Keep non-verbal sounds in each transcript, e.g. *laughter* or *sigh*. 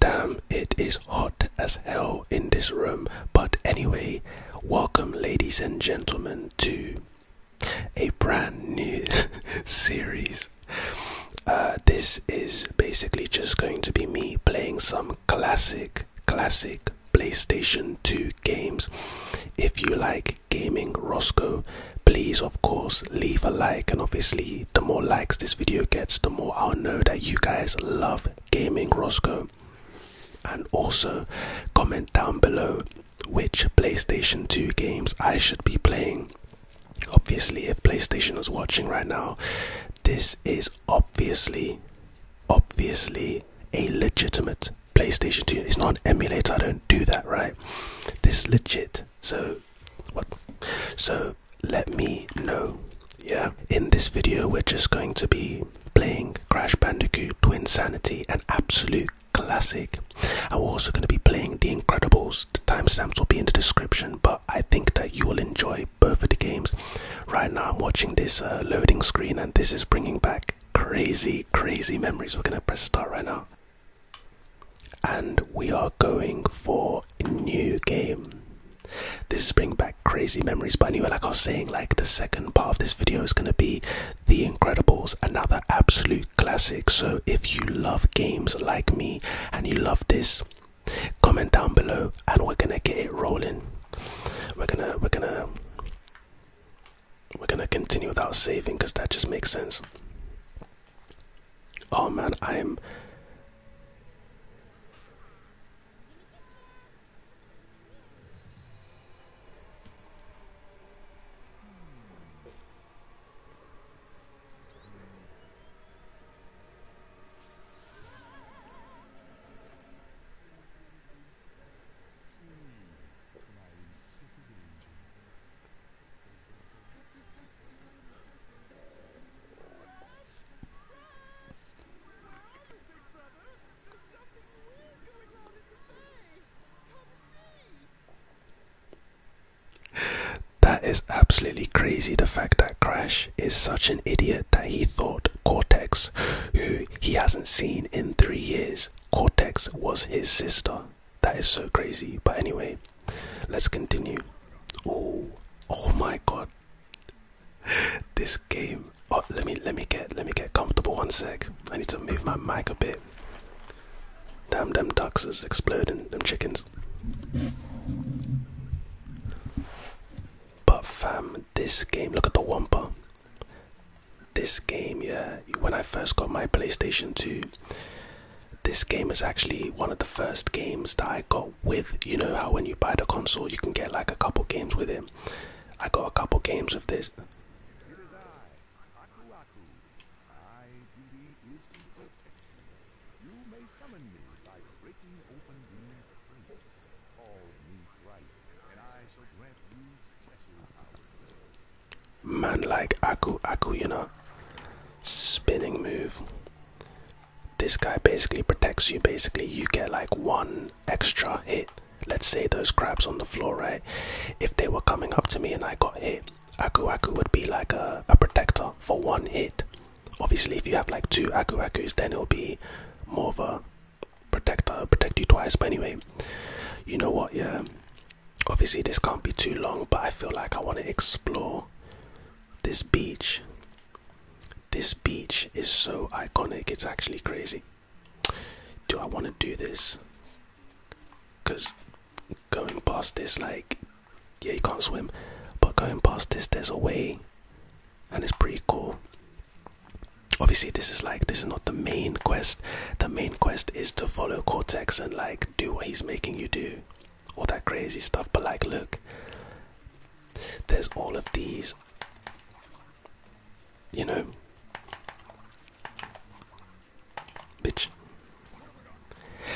Damn, it is hot as hell in this room. But anyway, welcome, ladies and gentlemen, to a brand new *laughs* series. Uh, this is basically just going to be me playing some classic, classic PlayStation 2 games. If you like gaming Roscoe, please of course leave a like and obviously the more likes this video gets the more i'll know that you guys love gaming roscoe and also comment down below which playstation 2 games i should be playing obviously if playstation is watching right now this is obviously obviously a legitimate playstation 2 it's not an emulator i don't do that right this legit so what so let me know yeah in this video we're just going to be playing crash bandicoot to insanity an absolute classic i'm also going to be playing the incredibles the timestamps will be in the description but i think that you will enjoy both of the games right now i'm watching this uh, loading screen and this is bringing back crazy crazy memories we're gonna press start right now and we are going for a new game. This is bringing back crazy memories, but anyway, like I was saying, like the second part of this video is gonna be The Incredibles, another absolute classic. So if you love games like me and you love this, comment down below and we're gonna get it rolling. We're gonna we're gonna we're gonna continue without saving because that just makes sense. Oh man, I am. That is absolutely crazy. The fact that Crash is such an idiot that he thought Cortex, who he hasn't seen in three years, Cortex was his sister. That is so crazy. But anyway, let's continue. Oh, oh my god. this game. Oh, let me let me get let me get comfortable one sec. I need to move my mic a bit. Damn them ducks is exploding, them chickens. But fam, this game, look at the Wampa. This game, yeah, when I first got my PlayStation 2, this game is actually one of the first games that I got with. You know how when you buy the console, you can get like a couple games with it. I got a couple games of this man like Aku Aku, you know, spinning move. This guy basically protects you. Basically, you get like one extra hit. Let's say those crabs on the floor, right? If they were coming up to me and I got hit, Aku Aku would be like a, a protector for one hit. Obviously, if you have like two Aku Akus, then it'll be more of a protector, protect you twice. But anyway, you know what? Yeah, Obviously, this can't be too long, but I feel like I want to explore this beach. This beach is so iconic, it's actually crazy. Do I want to do this? Because going past this, like, yeah, you can't swim, but going past this, there's a way, and it's pretty cool. Obviously, this is like this is not the main quest. The main quest is to follow Cortex and like do what he's making you do all that crazy stuff. But like, look, there's all of these, you know, bitch.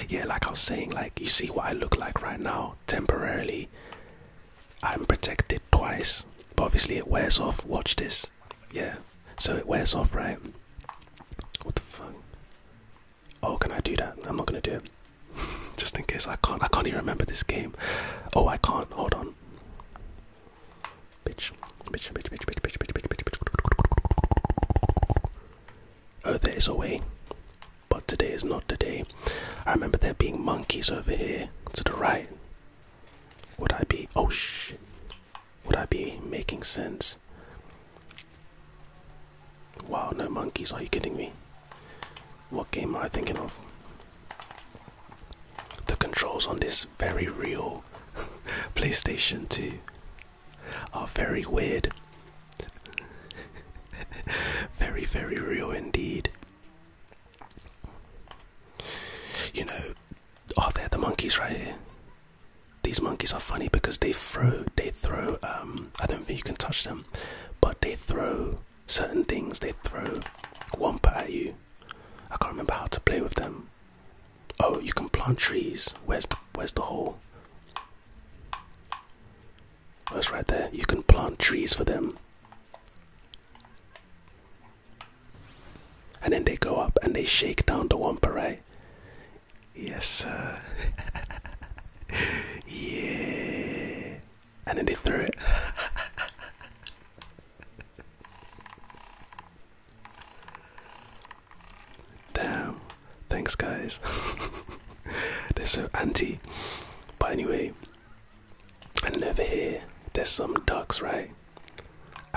Yeah, like I was saying, like, you see what I look like right now temporarily. I'm protected twice, but obviously it wears off. Watch this, yeah. So it wears off, right? What the fuck? Oh, can I do that? I'm not gonna do it. *laughs* Just in case I can't. I can't even remember this game. Oh, I can't. Hold on. Bitch, bitch, bitch, bitch, bitch, bitch, bitch, bitch, bitch, Oh, there is a way, but today is not the day. I remember there being monkeys over here to the right. Would I be? Oh shit! Would I be making sense? Wow, no monkeys, are you kidding me? What game am I thinking of? The controls on this very real *laughs* PlayStation 2 are very weird. *laughs* very, very real indeed. You know, are there the monkeys right here. These monkeys are funny because they throw, they throw. Um, I don't think you can touch them, but they throw certain things. They throw wampa at you. I can't remember how to play with them. Oh, you can plant trees. Where's the, where's the hole? Oh, it's right there. You can plant trees for them. And then they go up and they shake down the wampa, right? Yes, sir. *laughs* yeah. And then they threw it. Damn. Thanks, guys. *laughs* They're so anti. But anyway, and over here, there's some ducks, right?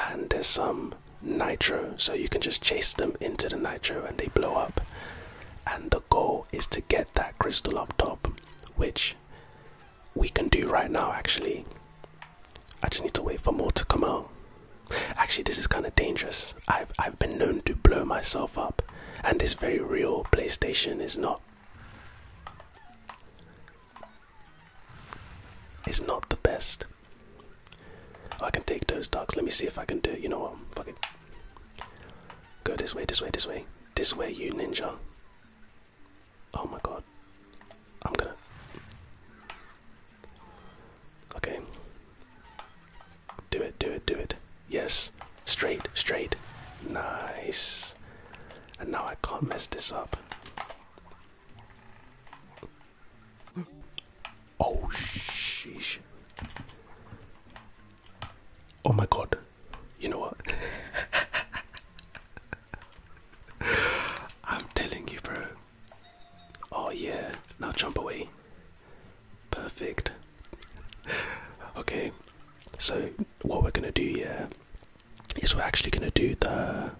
And there's some nitro, so you can just chase them into the nitro and they blow up and the goal is to get that crystal up top which we can do right now actually i just need to wait for more to come out actually this is kind of dangerous i've i've been known to blow myself up and this very real playstation is not it's not the best oh, i can take those ducks let me see if i can do it you know what fucking Go this way, this way, this way. This way, you ninja. Oh my god. I'm gonna. Okay. Do it, do it, do it. Yes. Straight, straight. Nice. And now I can't mess this up. Oh, sheesh. Oh my god. You know what? I'm telling you, bro. Oh, yeah. Now jump away. Perfect. okay. So, what we're gonna do, here we're actually gonna do the.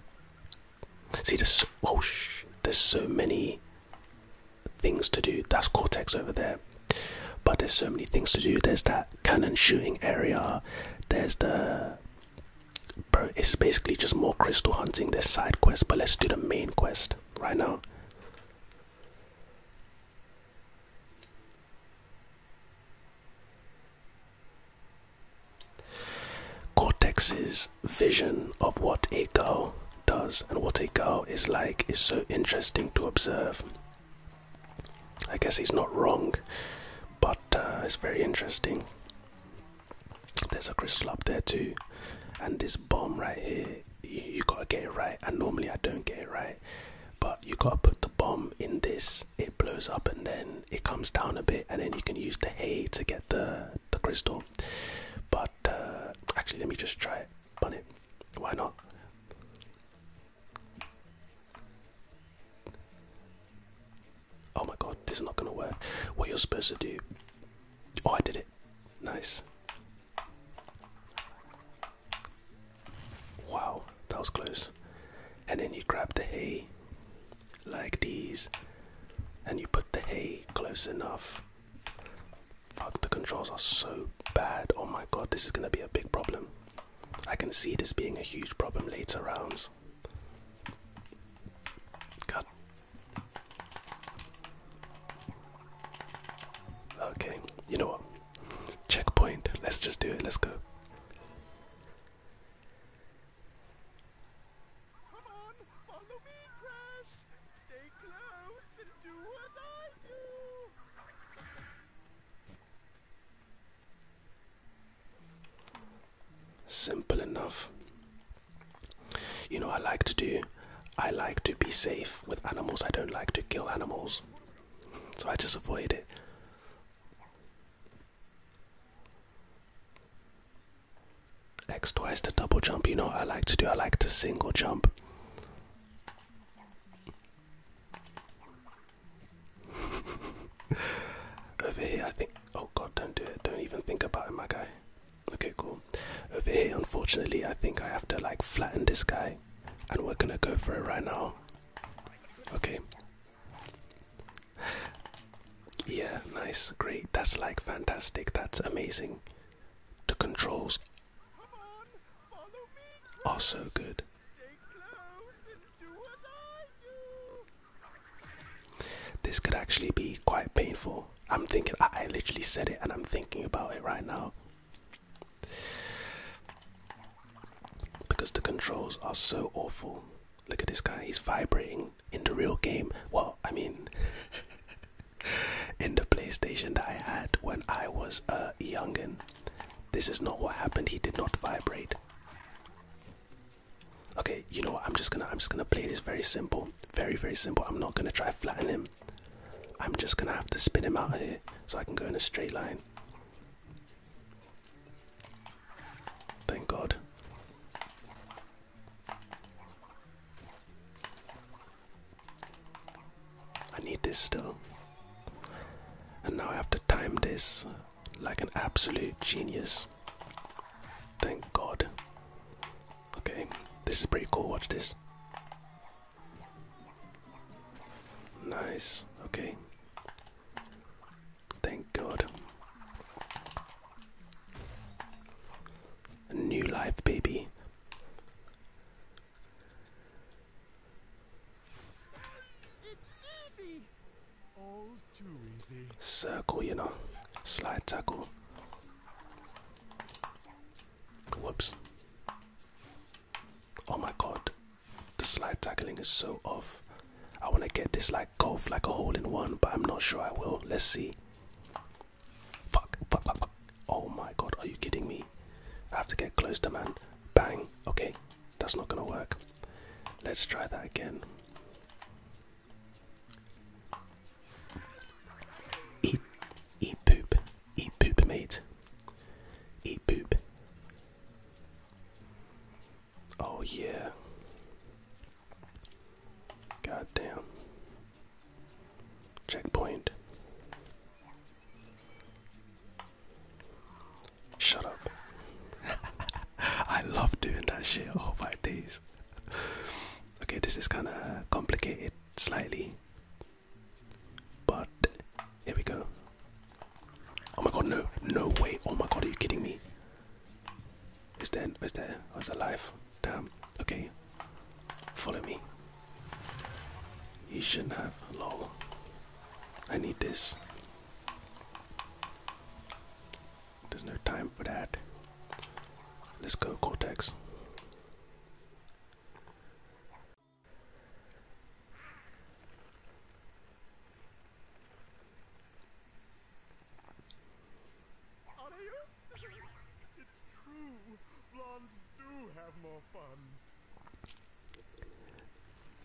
See, there's. Oh, sh there's so many things to do. That's Cortex over there. But there's so many things to do. There's that cannon shooting area. There's the bro. It's basically just more crystal hunting. This side quest. but let's do the main quest right now. Cortex's vision of what a girl does and what a girl is like is so interesting to observe. I guess he's not wrong, but uh, it's very interesting. There's a crystal up there too, and this bomb right here. You, gotta get it right, and normally I don't get it right, but you gotta put the bomb in this. It blows up, and then it comes down a bit, and then you can use the hay to get the the crystal. But uh, actually, let me just try it. Bun it. Why not? Oh my god, this is not gonna work. What you're supposed to do. Oh, I did it. Nice. Wow, that was close. And then you grab the hay like these, and you put the hay close enough Fuck, the controls are so bad. Oh my god, this is gonna be a big problem. I can see this being a huge problem later rounds. God. Okay, you know what? Checkpoint. Let's just do it. Let's go. Simple enough. You know, I like to do, I like to be safe with animals. I don't like to kill animals. So I just avoid it. X twice to double jump. You know I like to do? I like to single jump. *laughs* Over here, I think. Oh god, don't do it. Don't even think about it, my guy. Okay, cool. Over here, unfortunately, I think I have to like flatten this guy, and we're gonna go for it right now. Okay. Yeah, nice, great. That's like fantastic. That's amazing. The controls are so good. This could actually be quite painful. I'm thinking, I literally said it and I'm thinking about it right now. Because the controls are so awful. Look at this guy, he's vibrating in the real game. Well, I mean, *laughs* *laughs* in the PlayStation that I had when I was a uh, youngin. This is not what happened. He did not vibrate. Okay, you know what? I'm just gonna I'm just gonna play this very simple, very very simple. I'm not gonna try flatten him. I'm just gonna have to spin him out of here so I can go in a straight line. Thank God. I need this still. And now I have to time this like an absolute genius. Thank God. Okay, this is pretty cool. Watch this. Nice. Okay. Thank God. New life, baby. Circle, you know. Slide tackle. Whoops. Oh my god. The slide tackling is so off. I want to get this like golf, like a hole in one, but I'm not sure I will. Let's see. Fuck, fuck, fuck, Oh my god, are you kidding me? I have to get close to man. Bang. Okay, that's not gonna work. Let's try that again. Eat, eat poop, eat poop, mate. Eat poop. Oh yeah. God damn. Checkpoint. Shut up. *laughs* I love doing that shit all my days. Okay, this is kind of complicated slightly. But here we go. Oh my god, no, no way. Oh my god, are you kidding me? Is there, is there, oh, it's alive. Damn. Okay, follow me. You shouldn't have. Lol. I need this. There's no time for that. Let's go, Cortex.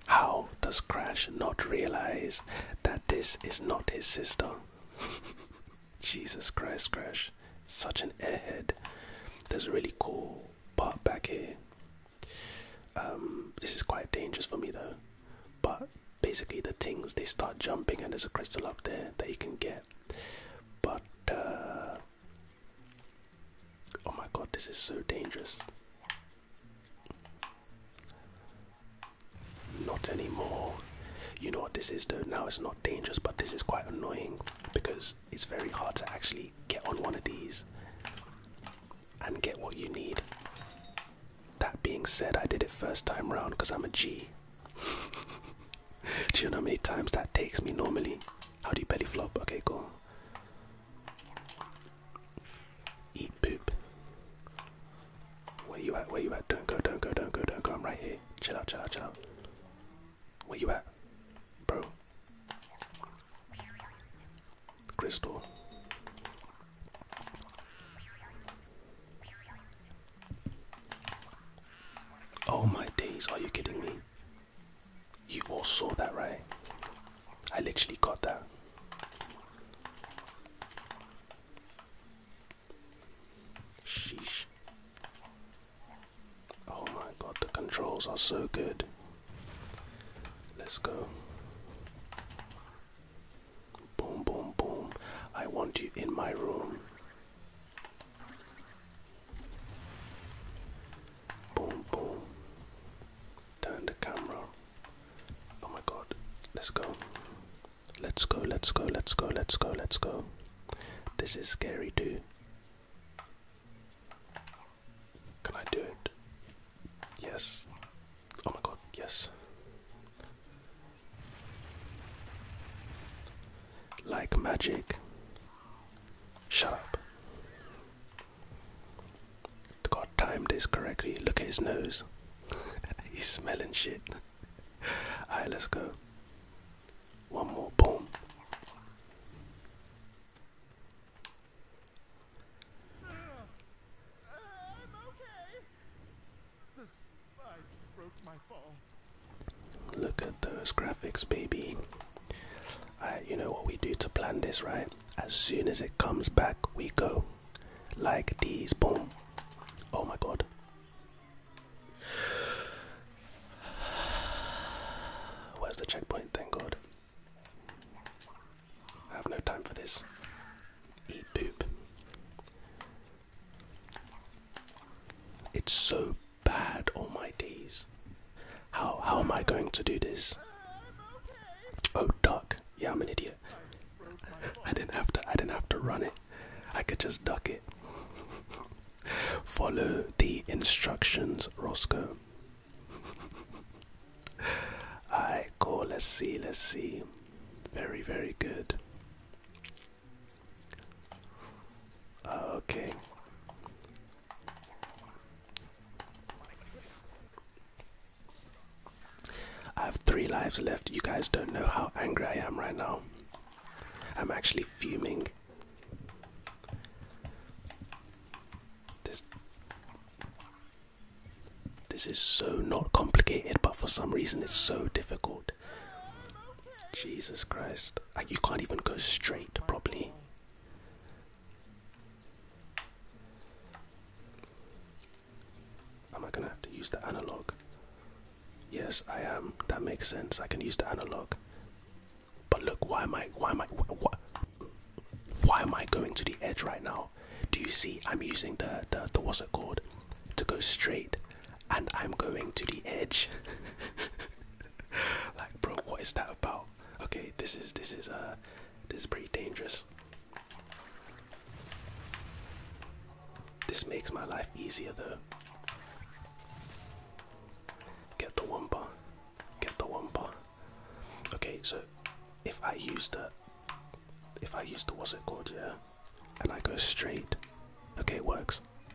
How does Crash not realize that this is not his sister? *laughs* Jesus Christ, Crash. Such an airhead. There's a really cool part back here. Um, this is quite dangerous for me though. But basically, the things they start jumping, and there's a crystal up there that you can get. But uh, Oh my god, this is so dangerous. Not anymore. You know what this is though? Now it's not dangerous, but this is quite annoying because it's very hard to actually get on one of these and get what you need. That being said, I did it first time round because I'm a G. *laughs* Do you know how many times that takes me normally? How do you belly flop? Okay, cool. Eat poop. Where you at? Where you at? Don't go, don't go, don't go, don't go. I'm right here. Chill out, chill out, chill out. Where you at? Bro. Crystal. Oh my days, are you kidding me? You all saw that, right? I literally got that. Sheesh. Oh my god, the controls are so good. Let's go. Boom, boom, boom. I want you in my room. Boom, boom. Turn the camera. Oh my god. Let's go. Let's go, let's go, let's go, let's go, This is scary, dude. Can I do it? Yes. Oh my god, yes. Like magic, Shut up. God timed this correctly. Look at his nose. *laughs* He's smelling shit. *laughs* Alright, let's go. One more. Boom. Uh, Look at those graphics, baby. you know what we do to plan this, right? As soon as it comes back, we go like these. Boom. Oh my god. Where's the checkpoint? Thank god. I have no time for this. Eat poop. It's so bad all my days. How how am I going to do this? Oh duck. Yeah, I'm an idiot. I didn't have to I didn't have to run it. I could just duck it. Follow the instructions, Roscoe. Alright, cool, let's see, let's see. Very, very good. Ah, okay. I have three lives left. You guys don't know how angry I am right now. I'm actually fuming. This This is so not complicated, but for some reason it's so difficult. Jesus Christ. Like you can't even go straight properly. Am I gonna have to use the analog? Yes, I am. That makes sense. I can use the analog. But look, why am I? Why am I? why am I going to the edge right now? Do you see? I'm using the the, the what's it called to go straight, and I'm going to the edge. *laughs* *laughs* like bro what is that about okay this is this is uh this is pretty dangerous this makes my life easier though get the wumpa get the wumpa okay so if i use the if i use the was it called yeah and i go straight okay it works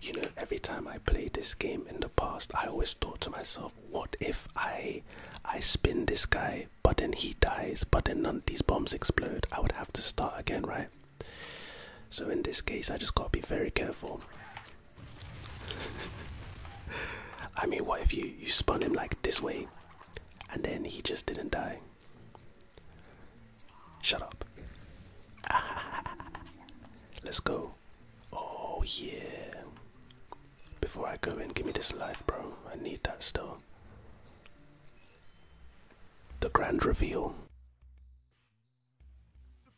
You know, every time I played this game in the past, I always thought to myself, what if I I spin this guy, but then he dies, but then none of these bombs explode. I would have to start again, right? So in this case, I just gotta be very careful. *laughs* I mean, what if you you spun him like this way, and then he just didn't die? Shut up. *laughs* Let's go. Oh yeah. Before I go in, give me this life, bro. I need that still. The grand reveal.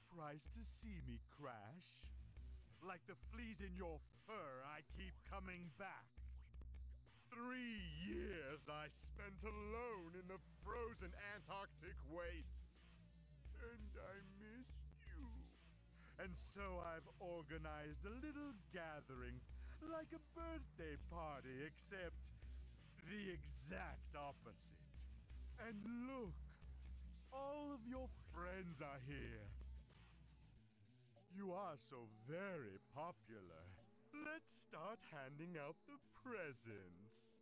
Surprised to see me, Crash? Like the fleas in your fur, I keep coming back. Three years I spent alone in the frozen Antarctic wastes. And I missed you. And so I've organized a little gathering, like a birthday party, except the exact opposite. And look, all of your friends are here. You are so very popular. Let's start handing out about the presents.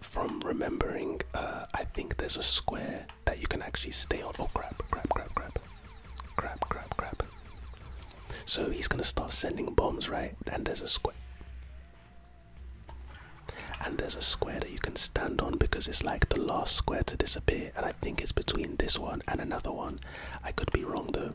From remembering, uh, I think there's a square that you can actually stay on. Oh crap, crap, crap, crap. Crap, crap, crap. So he's gonna start sending bombs, right? And there's a square. And there's a square that you can stand on because it's like the last square to disappear. And I think it's between this one and another one. I could be wrong though.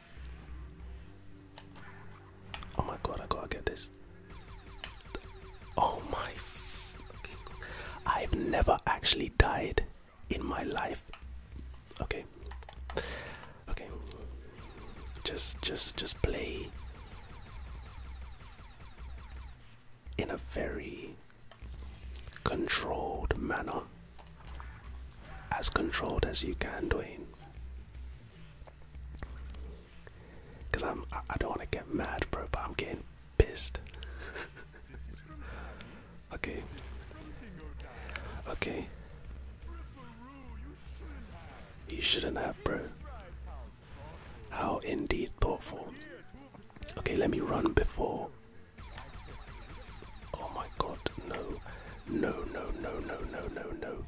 Oh my god, I gotta get this. Oh my. F I've never actually died in my life. Okay. Okay. Just, just, just play in a very controlled manner. As controlled as you can, Dwayne. Cause I'm, I, don't want to get mad, bro, but I'm getting pissed. *laughs* okay. Okay. You shouldn't have, bro. How indeed thoughtful. Okay, let me run before. Oh my god, No, no, no, no, no, no, no.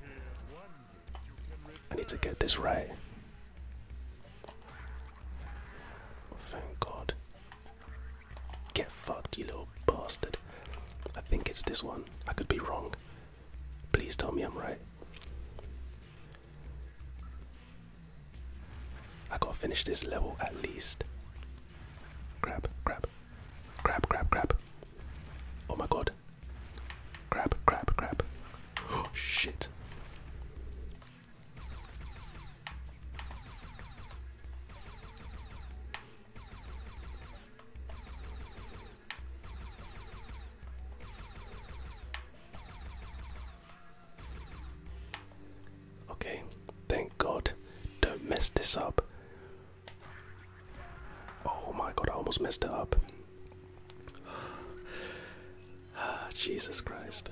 I need to get this right. Thank God. Get fucked, you little bastard. I think it's this one. I could be wrong. Please tell me I'm right. I gotta finish this level at least. Grab, grab, grab, grab, grab. Oh my god. Crap! Crap! Crap! Oh, *gasps* shit. Okay, thank God. Don't mess this up. Oh my god, I almost messed it up. *sighs* Jesus Christ.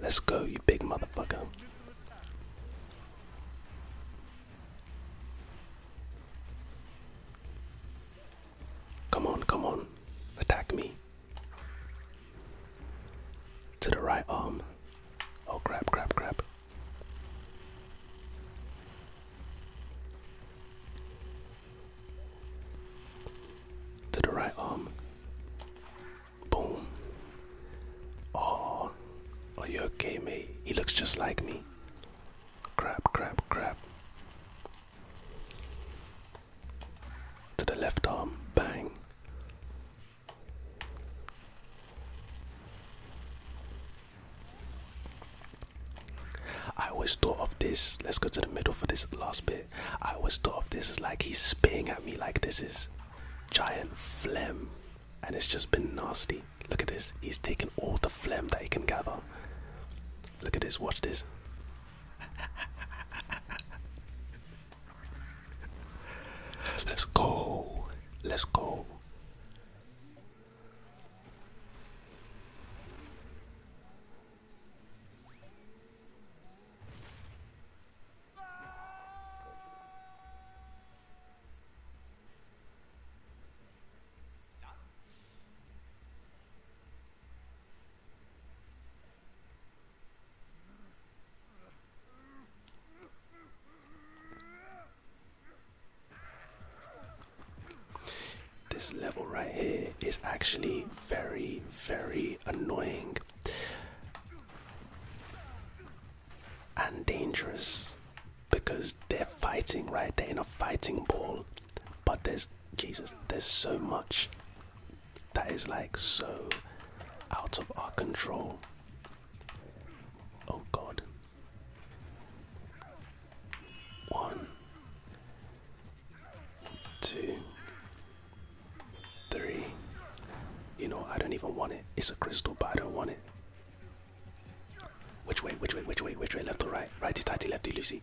Let's go, you big motherfucker. Come on, come on. Attack me. To the right arm. Oh crap, crap, crap. To the right arm. Boom. Oh, are you okay, mate? He looks just like me. Crap, crap, crap. To the left arm, bang. I always thought of this. Let's go to the middle for this last bit. I always thought of this as like he's spitting at me, like this is giant phlegm, and it's just been nasty. Look at this. He's taken all the phlegm that he can gather. Look at this. Watch this. Let's go. Let's go. This level right here is actually very, very annoying and dangerous because they're fighting right they're in a fighting ball but there's jesus there's so much that is like so out of our control oh god one two three you know i don't even want it it's a crystal but i don't want it which way? Which way? Which way? Which way? Left or right? Righty tighty, lefty loosey.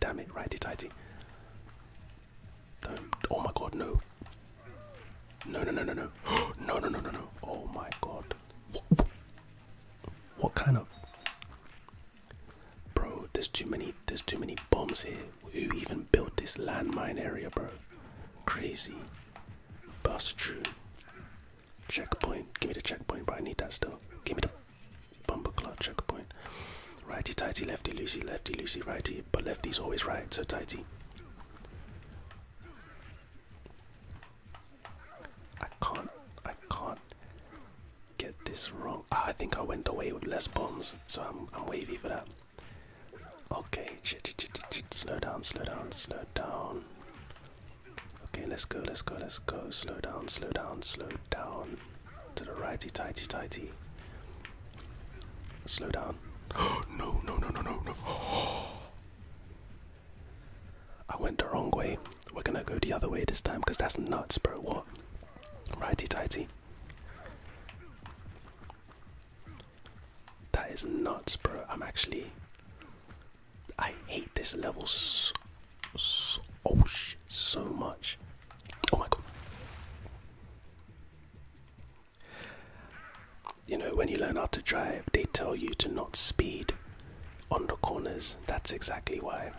Damn it, righty tighty. Oh my god, no. No, no, no, no, no. *gasps* no, no, no, no, Oh my god. What, kind of. Bro, there's too many. There's too many bombs here. Who even built this landmine area, bro? Crazy. Bust true. Checkpoint. Give me the checkpoint, but I need that still. Give me the bumper clock checkpoint. Righty tighty, lefty loosey, lefty loosey, righty. But lefty's always right, so tighty. I can't. I can't get this wrong. Ah, I think I went away with less bombs, so I'm wavy for that. Okay, shit, shit, shit, shit, slow down, slow down, slow down. Okay, let's go, let's go, let's go. Slow down, slow down, slow down. To the righty, tighty, tighty. Slow down. *gasps* no, no, no, no, no, no. *gasps* I went the wrong way. We're gonna go the other way this time because that's nuts, bro. What? Righty, tighty. That is nuts, bro. I'm actually I hate this level so, oh shit, so much. Oh my god. You know, when you learn how to drive, they tell you to not speed on the corners. That's exactly why.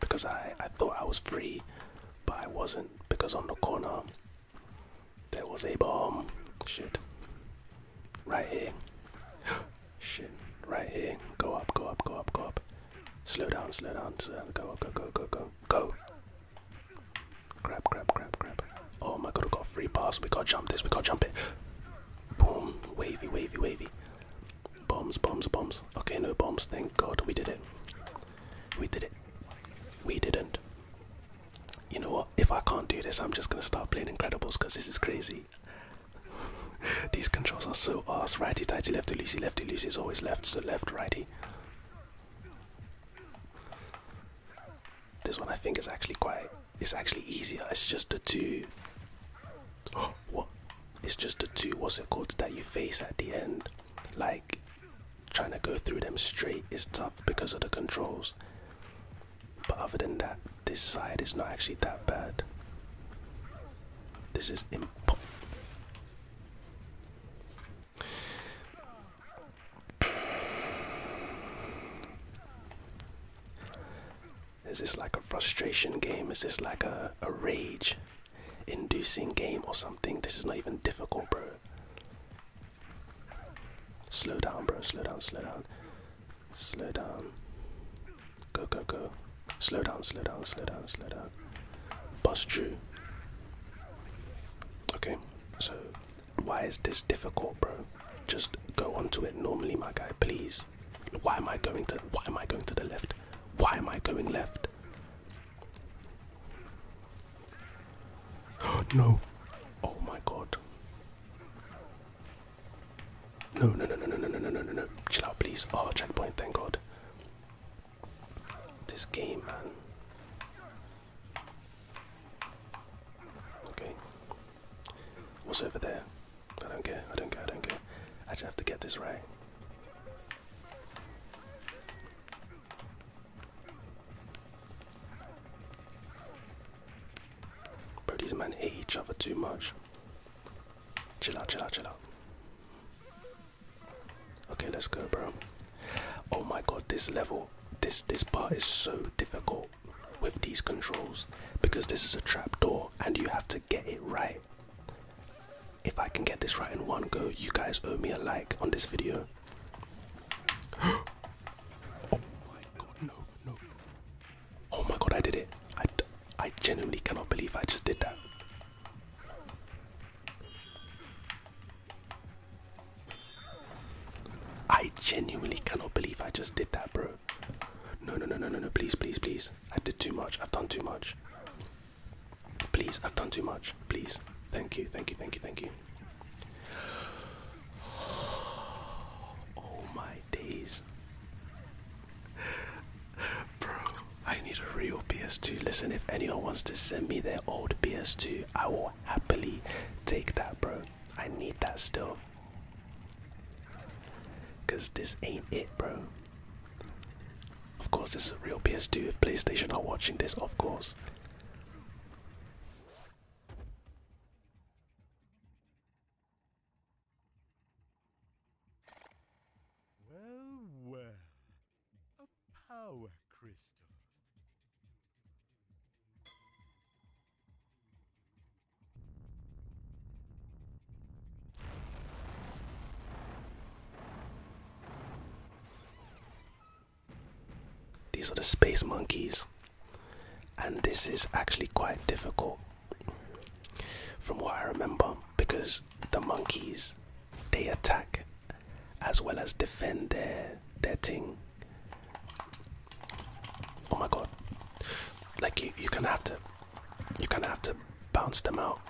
Because I, I thought I was free, but I wasn't. Because on the corner, there was a bomb. Shit. Right here. Shit. Right here. Go up, go up, go up, go up. Slow down, slow down, slow down. Go, up. go, go, go, go. Go. Grab, grab, grab, grab. Oh my god, we got free pass. We got jump this, we got jump it. Boom. Wavy, wavy, wavy. Bombs, bombs, bombs. Okay, no bombs. Thank god we did it. We did it. We didn't. You know what? If I can't do this, I'm just gonna start playing Incredibles because this is crazy. *laughs* These controls are so ass. Righty tighty, lefty loosey, lefty loosey is always left, so left righty. This one I think is actually quite. It's actually easier. It's just the two. *gasps* what? It's just the two. What's the called that you face at the end? Like trying to go through them straight is tough because of the controls. But other than that, this side is not actually that bad. This is imp. Is this like a frustration game? Is this like a, a rage inducing game or something? This is not even difficult, bro. Slow down, bro. Slow down, slow down. Slow down. Go, go, go. Slow down, slow down, slow down, slow down. Bust through. Okay, so why is this difficult, bro? Just go onto it normally, my guy, please. Why am I going to why am I going to the left? Why am I going left? *gasps* no. Oh my god. No, no, no, no, no, no, no, no, no, Chill out, please. Oh, checkpoint, thank God. This game, man. Okay. What's over there? I don't care, I don't care, I don't care. I just have to get this right. Bro, these men hate each other too much. Chill out, chill out, chill out. Okay, let's go, bro. Oh my god, this level, this this part is so difficult with these controls because this is a trap door and you have to get it right. If I can get this right in one go, you guys owe me a like on this video. *gasps* oh my god, no, no. Oh my god, I did it. I, I genuinely cannot believe I just did that. I genuinely cannot believe I just did that, bro. No, no, no, no, no, no, please, please, please. I did too much. I've done too much. Please, I've done too much. Please. Thank you, thank you, thank you, thank you. *sighs* Oh my Bro, I need a real PS2. Listen, if anyone wants to send me their old PS2, I will happily take that, bro. I need that still. Because this ain't it, bro. Of course, this is a real PS2. If PlayStation are watching this, of course. Well, well. A power crystal. These are the space monkeys, and this is actually quite difficult from what I remember, because the monkeys they attack as well as defend their their thing. Oh my god! Like you, you gonna have to, you gonna have to bounce them out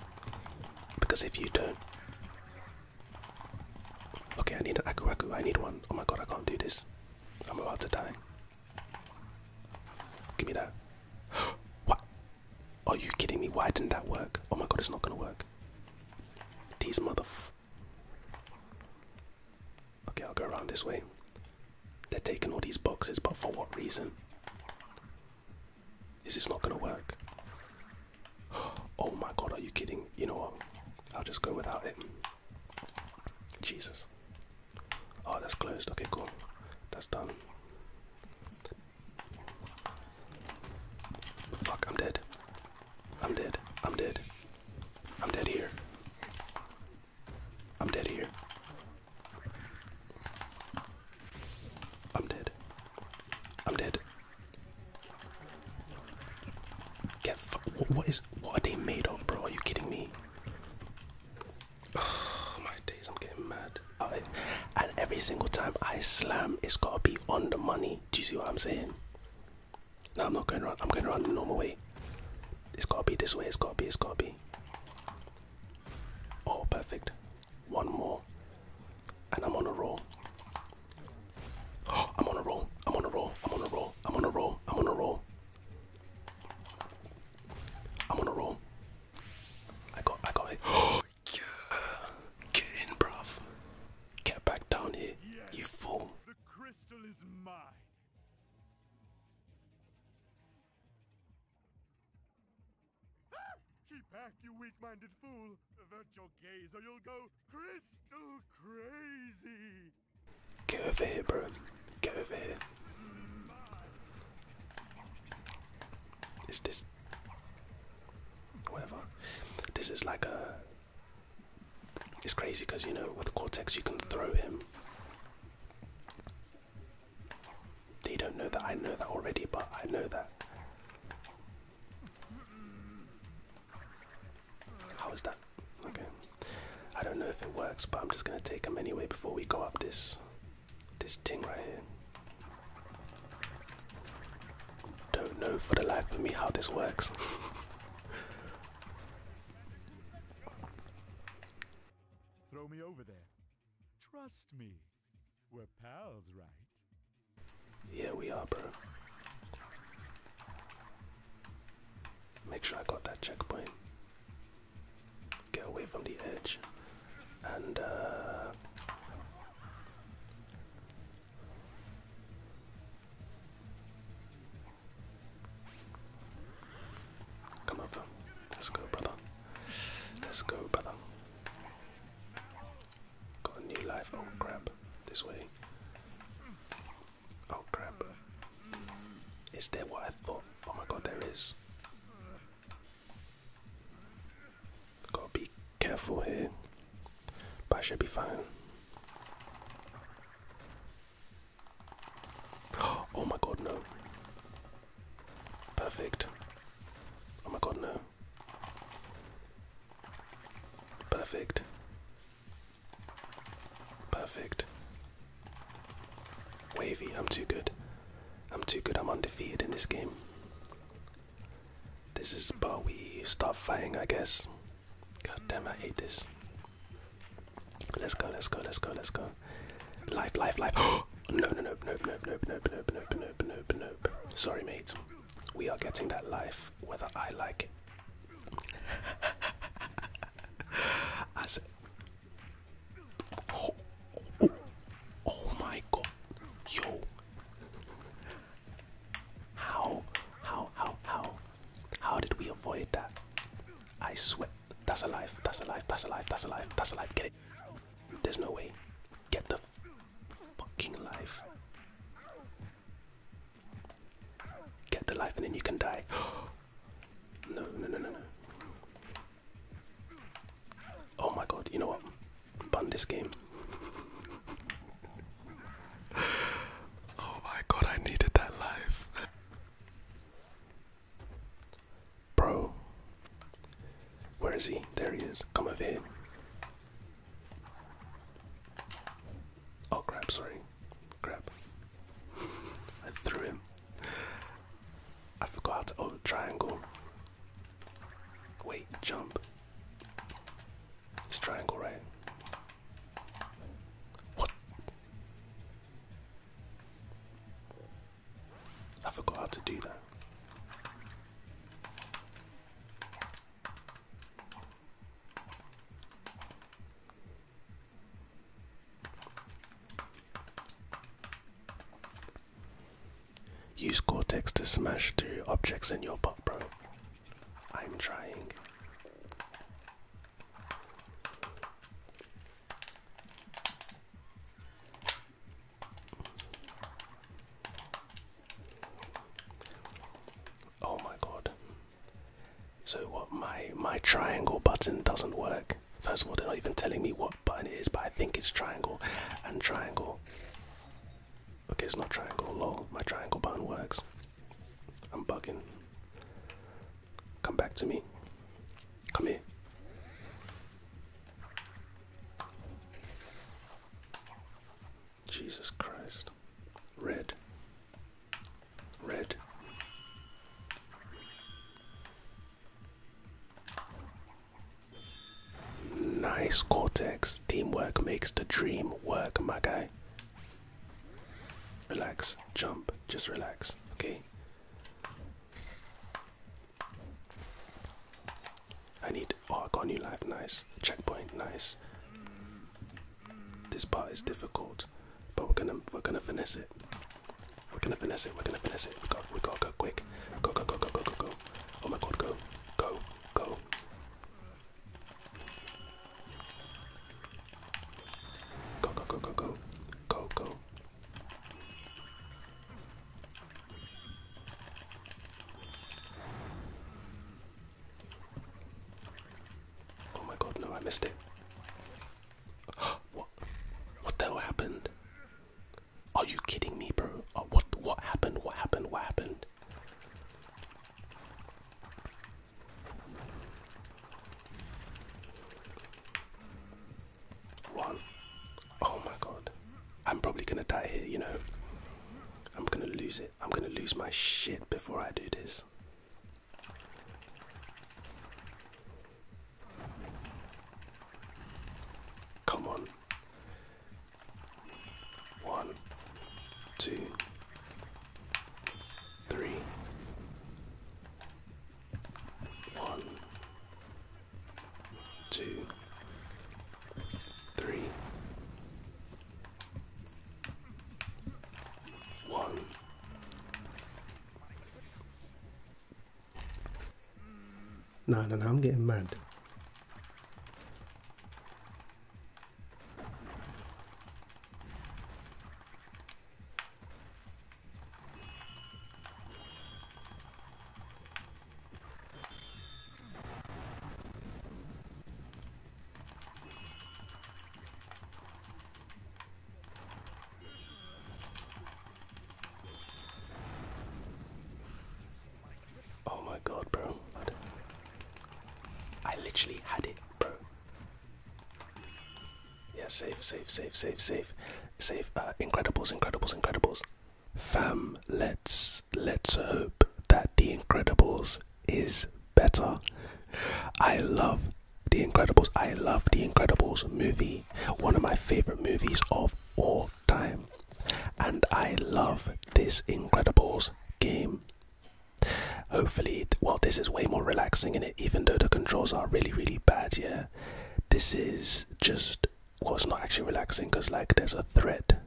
because if you don't. Okay, I need an aku I need one. Oh my god, I can't do this. I'm about to die. Give me that. *gasps* what? Are you kidding me? Why didn't that work? Oh my god, it's not gonna work. These motherf. Okay, I'll go around this way. They're taking all these boxes, but for what reason? Is this not gonna work? *gasps* Oh my god, are you kidding? You know what? I'll just go without it. Jesus. Oh, that's closed. Okay, cool. That's done. Fuck, I'm dead. I'm dead. I'm dead. I'm dead here. I'm dead here. I'm dead. I'm dead. Get fuck. what is. What are they made of, bro? Are you kidding me? Oh, my days, I'm getting mad. and every single time I slam, it's gotta be on the money. Do you see what I'm saying? No, I'm not going around. I'm going around the normal way. It's gotta be this way. It's gotta be. It's gotta be. Oh, perfect. One more. And I'm on a roll. *gasps* I'm on a roll. I'm on a roll. I'm on a roll. I'm on a roll. I'm on a roll. I'm on a roll. I got I got hit. *gasps* Get in, bruv. Get back down here. You fool. The crystal is mine. Ah! Keep back, you weak-minded fool. Avert your gaze or you'll go crystal crazy. Get over here, bro. Get over here. Is this whatever? This is like a. It's crazy because you know with Cortex you can throw him. They don't know that I know that already, but I know that. How is that? Okay. I don't know if it works, but I'm just gonna take him anyway before we go up this this thing right here. Don't know for the life of me how this works. *laughs* Throw me over there. Trust me. We're pals, right? Yeah, we are, bro. Make sure I got that checkpoint. Get away from the edge. And uh Come over. Let's go, brother. Let's go, brother. Got a new life. Oh crap. This way. Oh crap. Is that what I thought? Oh my god, there is. Gotta be careful here, but I should be fine. *gasps* Oh my god, no. Perfect. Oh my god, no. Perfect. Perfect. Wavy, I'm too good. I'm too good, I'm undefeated in this game. This is but we stop fighting, I guess. God damn, I hate this. Let's go, let's go, let's go, let's go. Life, life, life. *gasps* no, no, no, no, no, no, no, no, no, no, no, no, no. Sorry, mate. We are getting that life whether I like it. *laughs* I said, Oh, oh, oh, my god. Yo. How, how, how, how, how did we avoid that? I swear. That's alive. That's alive. That's alive. That's alive. That's alive. Get it. There's no way. Get the fucking life. Get the life and then you can die. *gasps* no, no, no, no, no. Oh my god, you know what? Ban this game. oh my god, I needed that life. Bro. Where is he? There he is. Come over here. Oh crap, sorry. Crap. *laughs* I threw him. I forgot how to oh triangle. Wait, jump. It's triangle, right? What? I forgot how to do that. Use Cortex to smash through objects in your butt, bro. I'm trying. Oh my god. So what my my triangle button doesn't work first of all they're not even telling me what button it is but i think it's triangle and triangle okay it's not triangle lol my triangle button works i'm bugging come back to me come here jesus christ red red Nice, Cortex. Teamwork makes the dream work, my guy. Relax, jump, just relax, okay? I need. Oh, I got new life, nice. Checkpoint, nice. This part is difficult, but we're gonna we're gonna finish it. We're gonna finesse it. We're gonna finesse it. We got. We got. Go quick. Go. Go. Go. Go. Go. Go. Go. Oh my God. Go. Go. Go. Go. Go. Go. Go. Go. Go. Go. Oh my God. No, I missed it. *gasps* What? What the hell happened? Are you kidding me, bro? Uh, what what happened? What happened? What happened? One. Oh my god. I'm probably gonna die here, you know. I'm gonna lose it. I'm gonna lose my shit before I do this. Come on. One, two, three, one, two, three, one, no, no, no, I'm getting mad. Oh my god, bro. I literally had it, bro. Yeah, safe, safe, safe, safe, safe. Safe. Uh, Incredibles, Incredibles, Incredibles. Fam, let's let's hope that The Incredibles is better. I love The Incredibles. I love The Incredibles movie. One of my favorite movies of all time, and I love this Incredibles game. Hopefully, well, this is way more relaxing in it, even though the controls are really, really bad. Yeah, this is just well, it's not actually relaxing because, like, there's a threat,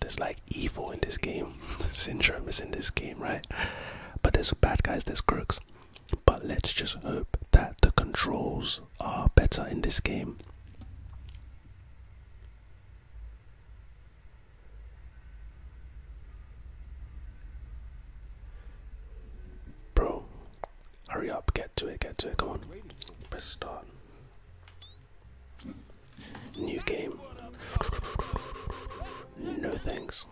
there's like evil in this game, *laughs* syndrome is in this game, right? But there's bad guys, there's crooks. But let's just hope that the controls are better in this game. Bro, hurry up, get to it, get to it, come on. Press start. New game. No thanks.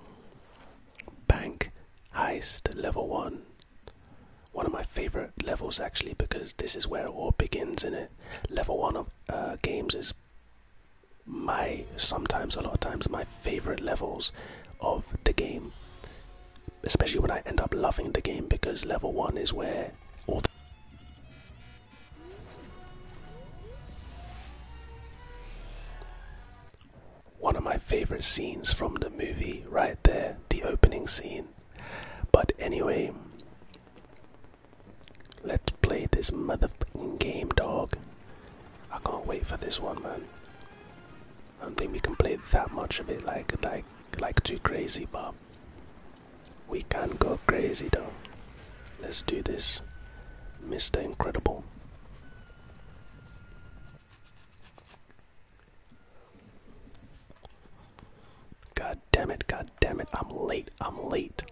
Bank heist level 1 one of my favorite levels actually because this is where it all begins in it level one of uh, games is my sometimes a lot of times my favorite levels of the game especially when i end up loving the game because level one is where all one of my favorite scenes from the movie right there the opening scene but anyway, let's play this motherfucking game, dog. I can't wait for this one, man. I don't think we can play that much of it, like like like too crazy, but we can go crazy dog. Let's do this, Mr. Incredible. God damn it, god damn it, I'm late, I'm late.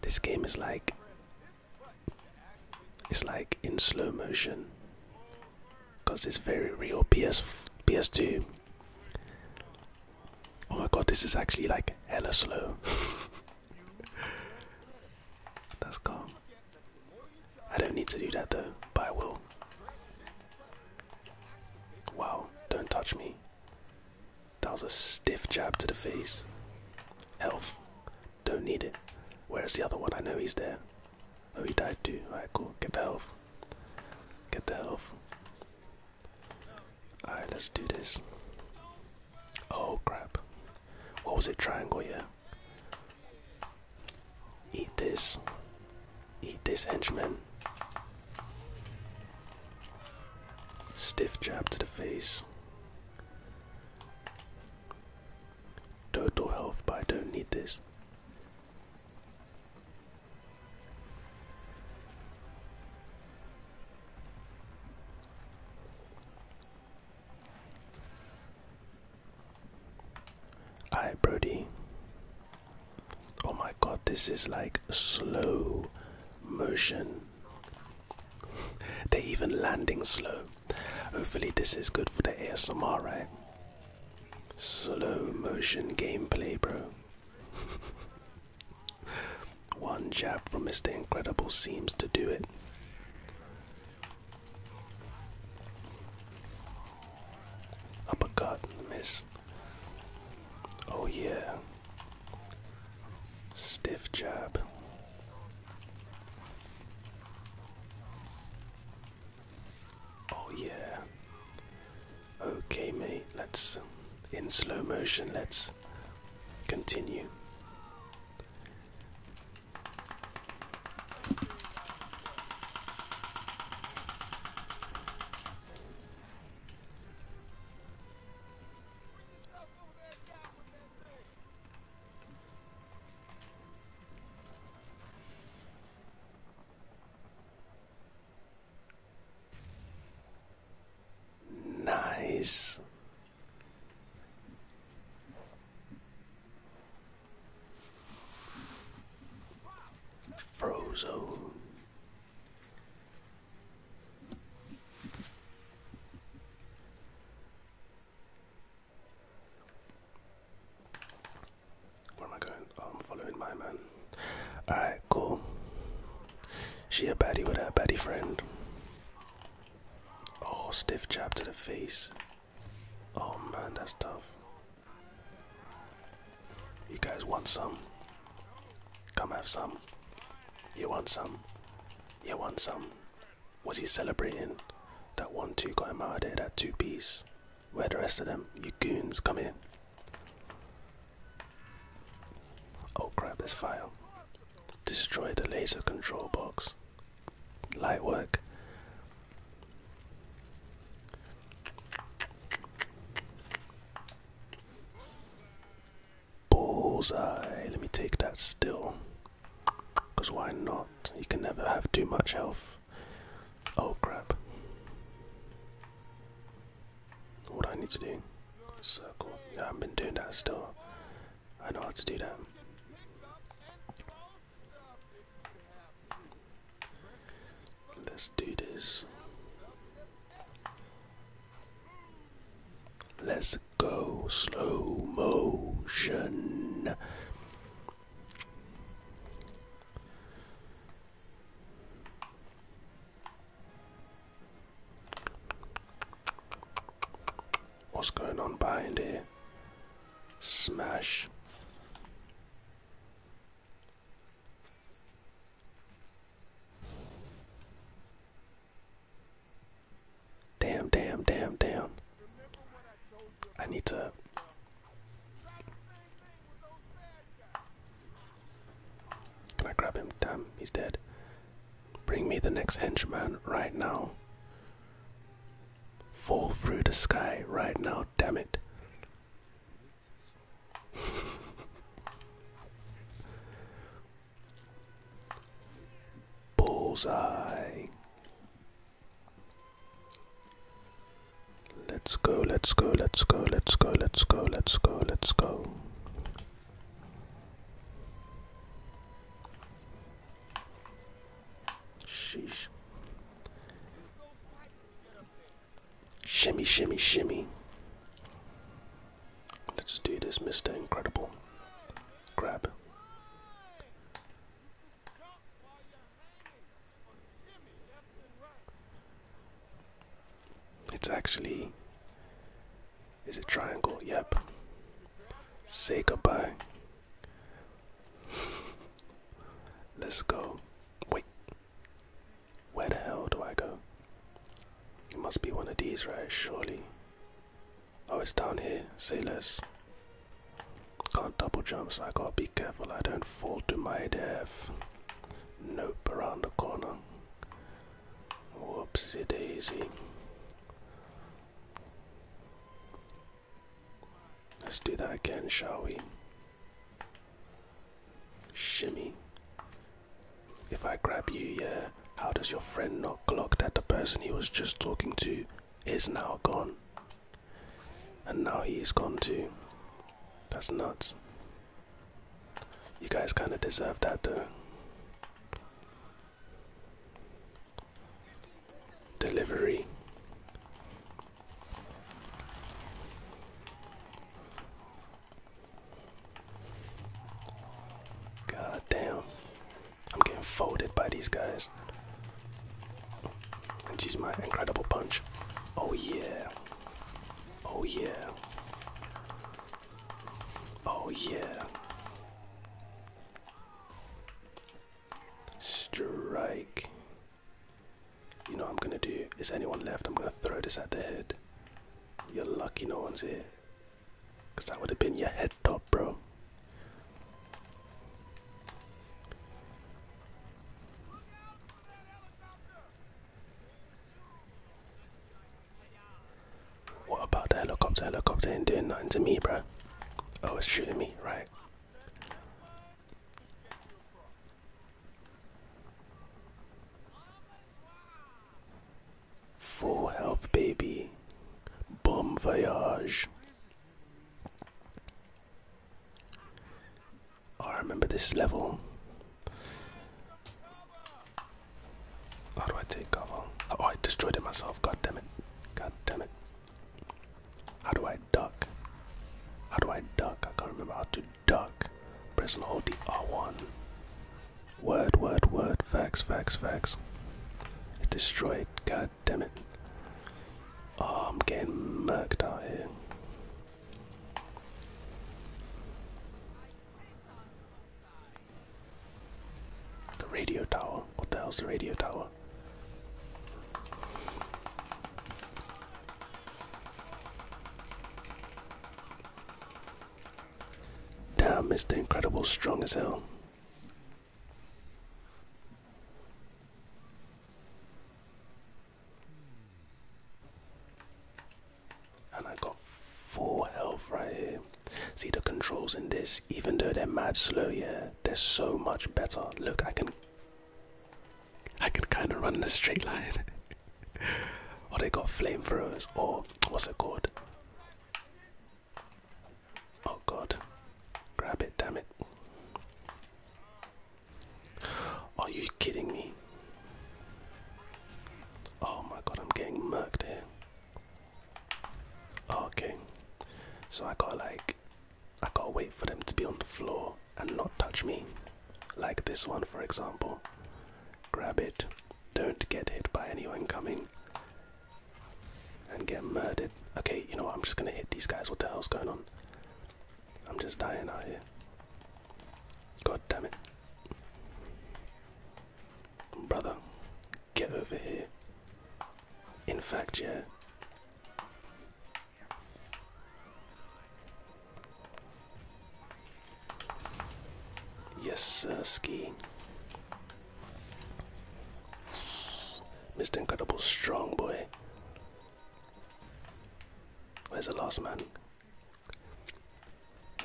this game is like it's like in slow motion because it's very real PS PS2 Oh my god, this is actually like hella slow. *laughs* That's calm. I don't need to do that though, but I will. Wow, don't touch me. That was a stiff jab to the face. Health. Don't need it. Where's the other one? I know he's there. Oh, he died too. Alright, cool. Get the health. Get the health. Alright, let's do this. Oh crap. What was it? Triangle, yeah. Eat this. Eat this, henchman. Stiff jab to the face. Total health, but I don't need this. Hi, Brody. Oh my god, this is like slow motion. *laughs* They're even landing slow. Hopefully, this is good for the ASMR, right? Slow motion gameplay, bro. *laughs* One jab from Mr. Incredible seems to do it. Uppercut, miss. Oh, yeah. Stiff jab. Oh, yeah. Okay, mate, let's in slow motion, let's continue. Nice. Frozo. Where am I going? Oh, I'm following my man. Alright, cool. She a baddie with her baddie friend. Oh, stiff jab to the face. Oh man, that's tough. You guys want some? Come have some. You want some? You want some? Was he celebrating? That one two got him out there, that two piece. Where the rest of them? You goons, come in. Oh crap, this file. Destroy the laser control box. Light work. Bullseye. Let me take that still. Because why not? You can never have too much health. Oh crap what I need to do. Circle. Yeah, I have been doing that still. I know how to do that. Let's do this. Let's go slow motion. What's going on behind here? Smash. Damn, damn, damn, damn. I need to. Can I grab him? Damn, he's dead. Bring me the next henchman right now. Fall through the sky right now, damn it. *laughs* Bullseye. Let's go, let's go, let's go, let's go, let's go, let's go, let's go. Sheesh. Shimmy, shimmy, shimmy. Let's do this, Mr. Incredible. Grab. It's actually. Is it triangle? Yep. Say goodbye. *laughs* Let's go. Wait. Where the hell do I go? It must be one of these, right? Surely. Oh, it's down here. sailors. Can't double jump, so I gotta be careful I don't fall to my death. Nope, around the corner. Whoopsie daisy. Let's do that again, shall we? Shimmy. If I grab you, yeah, how does your friend not clock that the person he was just talking to is now gone? And now he is gone too. That's nuts. You guys kind of deserve that, though. Delivery. God damn. I'm getting folded by these guys. And use my incredible punch. Oh yeah. Oh yeah. Oh, yeah. Strike. You know what I'm gonna do? Is anyone left? I'm gonna throw this at the head. You're lucky no one's here. Because that would have been your head top, bro. What about the helicopter? Helicopter ain't doing nothing to me, bro. Oh, it's shooting me, right? Full health, baby. Bon voyage. Oh, I remember this level. How do I take cover? Oh, I destroyed it myself. God damn it. God damn it. How do I duck? How do I duck? I can't remember how to duck. Press and hold the R1. Word, word, word. Facts, facts, facts. It destroyed. God damn it. Oh, I'm getting murked out here. The radio tower. What the hell's the radio tower? Damn, Mr. Incredible, strong as hell and I got full health right here. See the controls in this, even though they're mad slow, yeah, they're so much better. Look, I can, I can kind of run in a straight line. *laughs* or they got flamethrowers, or what's it called? Oh God, grab it, damn it! Are you kidding me? Oh my god, I'm getting murked here. Okay, so I got like, I gotta wait for them to be on the floor and not touch me. Like this one, for example. Grab it, don't get hit by anyone coming. and get murdered. Okay, you know what? I'm just gonna hit these guys. What the hell's going on? I'm just dying out here. God damn it. Brother, get over here. In fact, yeah. Yes, sir, ski. Mr. Incredible, strong boy. Where's the last man?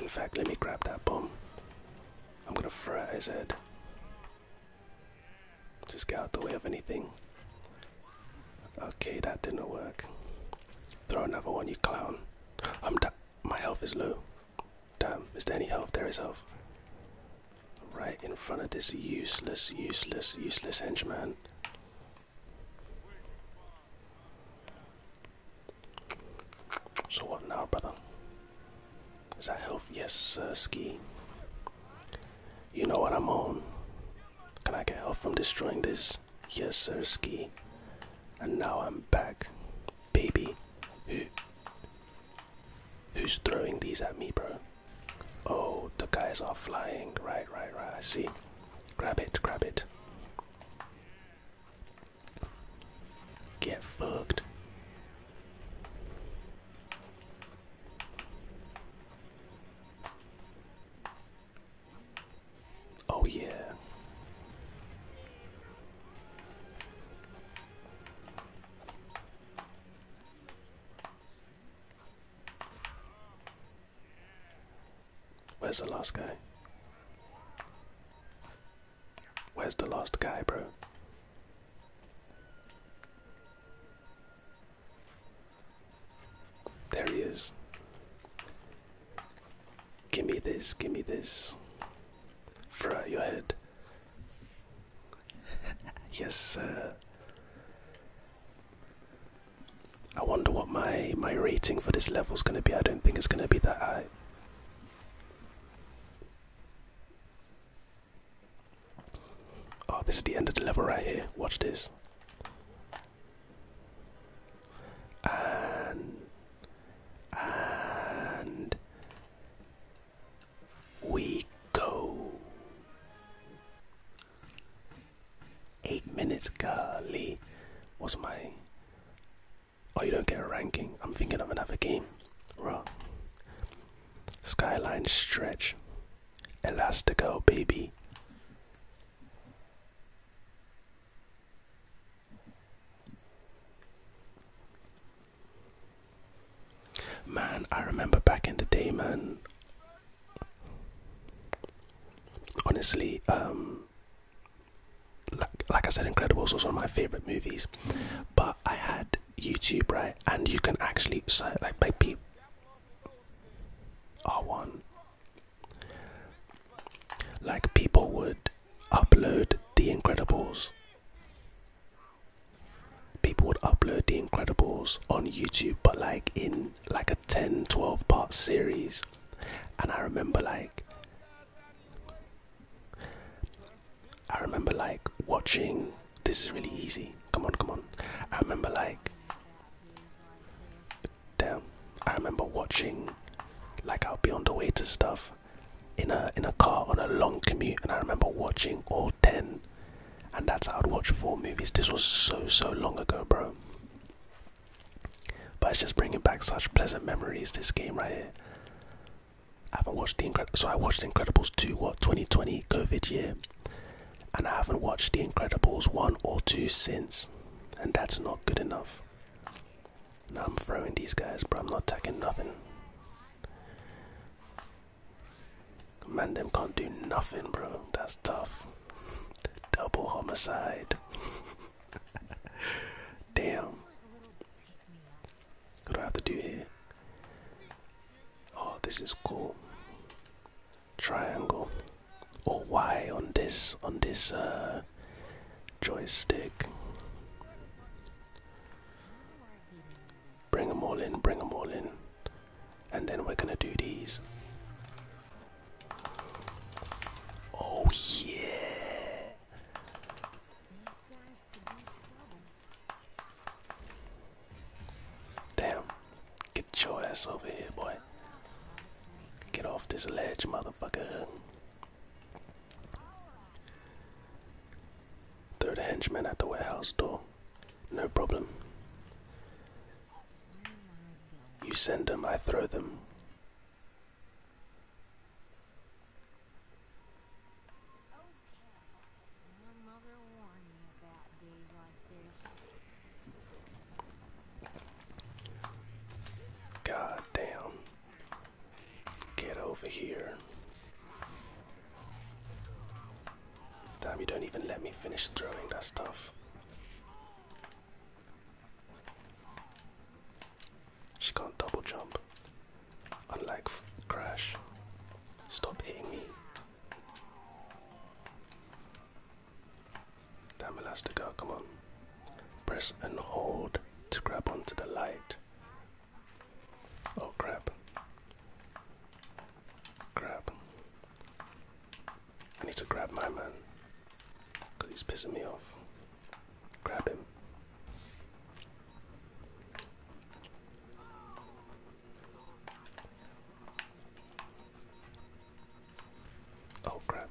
In fact, let me grab that bomb. I'm gonna fry his head. Just get out the way of anything. Okay, that didn't work. Throw another one, you clown. I'm da my health is low. Damn, is there any health? There is health. Right in front of this useless, useless, useless henchman. So what now, brother? Is that health? Yes, sir. Ski. You know what I'm on. Can I get help from destroying this? Yes, sir. Ski. And now I'm back, baby. Who? Who's throwing these at me, bro? Oh, the guys are flying. Right, right, right. I see. Grab it, grab it. Get fucked. Oh, yeah. Where's the last guy? Where's the lost guy, bro? There he is. Give me this, give me this. Fra your head. *laughs* yes, sir. I wonder what my my rating for this level is gonna be. I don't think it's gonna be that high. Oh, this is the end of the level right here. Watch this. And and we go. Eight minutes, golly. What's my Oh, you don't get a ranking. I'm thinking of another game. Wrong. Skyline Stretch. Elastico, baby. Man, I remember back in the day, man. Honestly, um, like, like I said, Incredibles was one of my favorite movies. But I had YouTube, right? And you can actually search, like, people. R1. Like, people would upload The Incredibles. People would upload The Incredibles on YouTube, but like in like a 10 12 part series. And I remember, like, I remember like watching this is really easy. Come on, come on. I remember like damn. I remember watching like I'll be on the way to stuff in a in a car on a long commute and I remember watching all ten and that's how I'd watch four movies. This was so so long ago, bro. But it's just bringing back such pleasant memories. This game right here. I haven't watched the Incredibles. So I watched the Incredibles 2, what 2020 COVID year, and I haven't watched the Incredibles 1 or 2 since, and that's not good enough. Now I'm throwing these guys, but I'm not taking nothing. Man, them can't do nothing, bro. That's tough. Double homicide. *laughs* *laughs* Damn. What do I have to do here? Oh, this is cool. Triangle. Or oh, Y on this on this uh, joystick. Bring them all in, bring them all in. And then we're gonna do these. Oh yeah. Damn. Get your ass over here, boy. Get off this ledge, motherfucker. Throw the henchmen at the warehouse door. No problem. You send them, I throw them. God damn. Get over here. Damn, you don't even let me finish throwing that stuff. She can't double jump. Unlike Crash. Stop hitting me. Damn Elastigirl, come on. Press and hold to grab onto the light. Oh crap. Grab. I need to grab my man. Because he's pissing me off. Grab him. Oh, crap.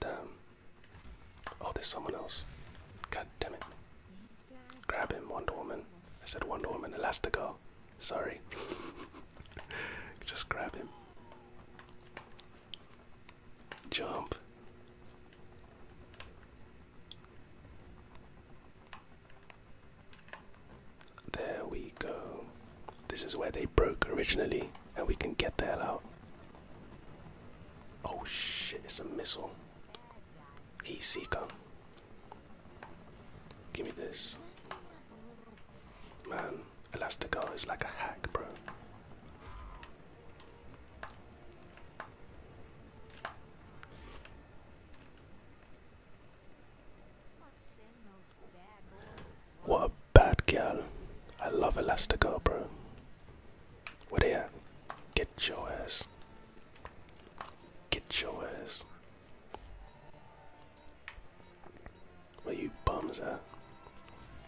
Damn. Oh, there's someone else. God damn it. Grab him, Wonder Woman. I said Wonder Woman, Elastigirl. Sorry. *laughs* Just grab him. Jump. There we go. This is where they broke originally, and we can get the hell out. Oh shit, it's a missile. Heat seeker. Give me this. Man, Elastigar is like a hack, bro. What a bad girl. I love Elastigirl, bro. Where they at? Get your ass. Get your ass. Where you bums at?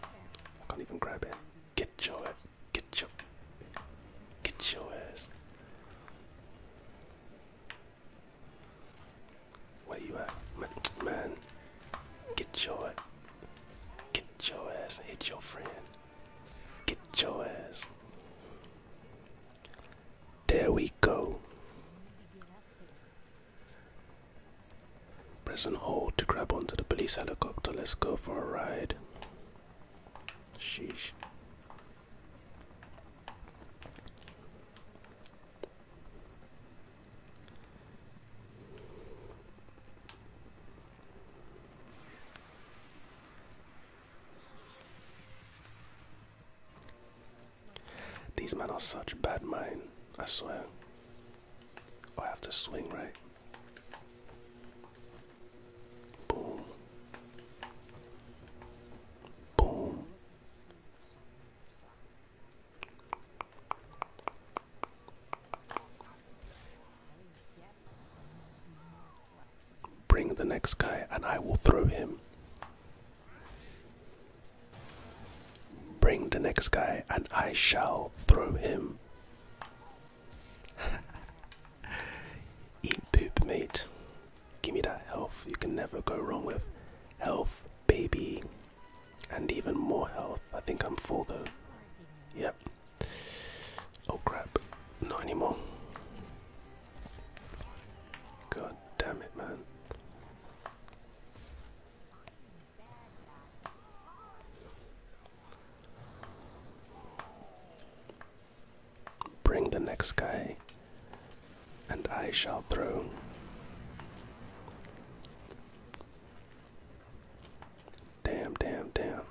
I can't even grab it. Get your ass. Get your. Get your ass. Where you at? man, get your get your ass hit your friend. Get your ass. There we go. Press and hold to grab onto the police helicopter. Let's go for a ride. Sheesh. These men are such bad men. I swear. Oh, I have to swing right. Boom. Boom. Bring the next guy and I will throw him. Bring the next guy and I shall throw him. *laughs* Eat poop, mate. Give me that health you can never go wrong with. Health, baby. And even more health. I think I'm full though. Yep. Oh crap. Not anymore. God damn it, man. Bring the next guy, and I shall throw. Damn, damn, damn.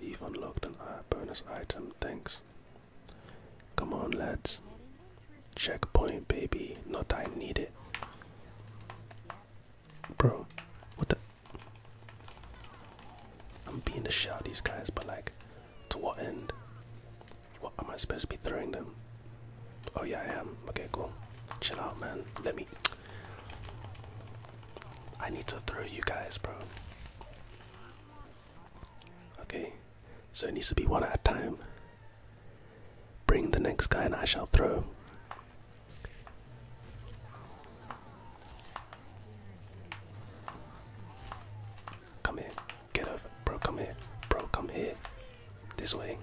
You've unlocked an eye bonus item, thanks. Come on, lads. Checkpoint, baby. Not I need it. Bro, what the? I'm being the shell these guys, but like, to what end? What am I supposed to be throwing them? Oh yeah, I am. Okay, cool. Chill out, man. Let me. I need to throw you guys, bro. Okay, so it needs to be one at a time. Bring the next guy, and I shall throw. Come here, get over, bro. Come here, bro. Come here, this way.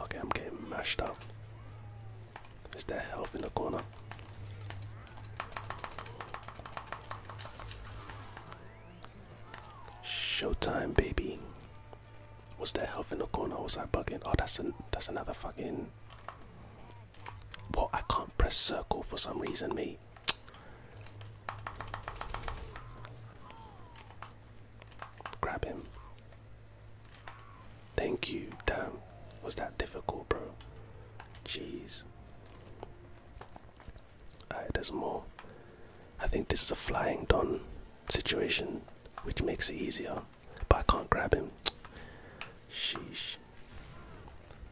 Okay, I'm getting mashed up. Is there health in the corner? Showtime, baby. Was there health in the corner? Was I bugging? Oh, that's an that's another fucking. Well, I can't press circle for some reason, me. Grab him. Thank you. Damn. Was that difficult, bro? Jeez. Alright, there's more. I think this is a flying don situation, which makes it easier. But I can't grab him. Sheesh.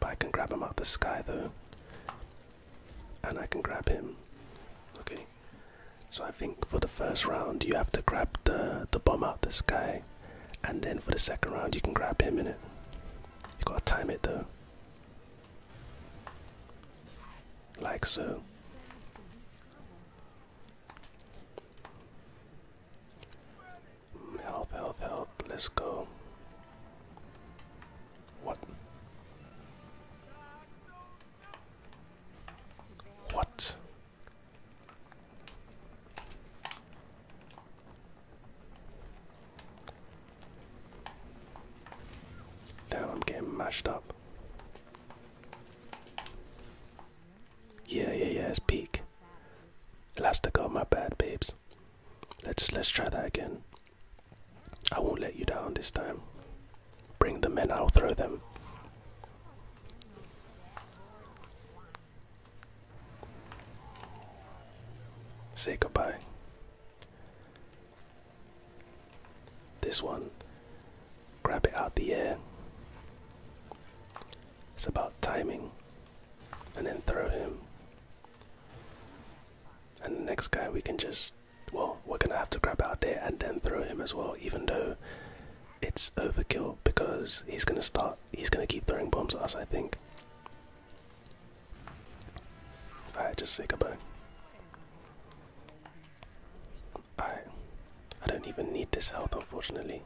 But I can grab him out the sky though. And I can grab him. Okay. So I think for the first round you have to grab the the bomb out the sky, and then for the second round you can grab him in it. You gotta time it though, like so. Mm, health, health, health. Let's go. What? What? Now I'm getting mashed up. Yeah, yeah, yeah, it's peak. Elastic, oh my bad, babes. Let's let's try that again. I won't let you down this time. Bring the men, I'll throw them. Say goodbye. This one, grab it out the air. It's about timing, and then throw him. And the next guy, we can just well, we're gonna have to grab out there and then throw him as well, even though it's overkill because he's gonna start, he's gonna keep throwing bombs at us, I think. Alright, just say goodbye. Alright, I don't even need this health, unfortunately,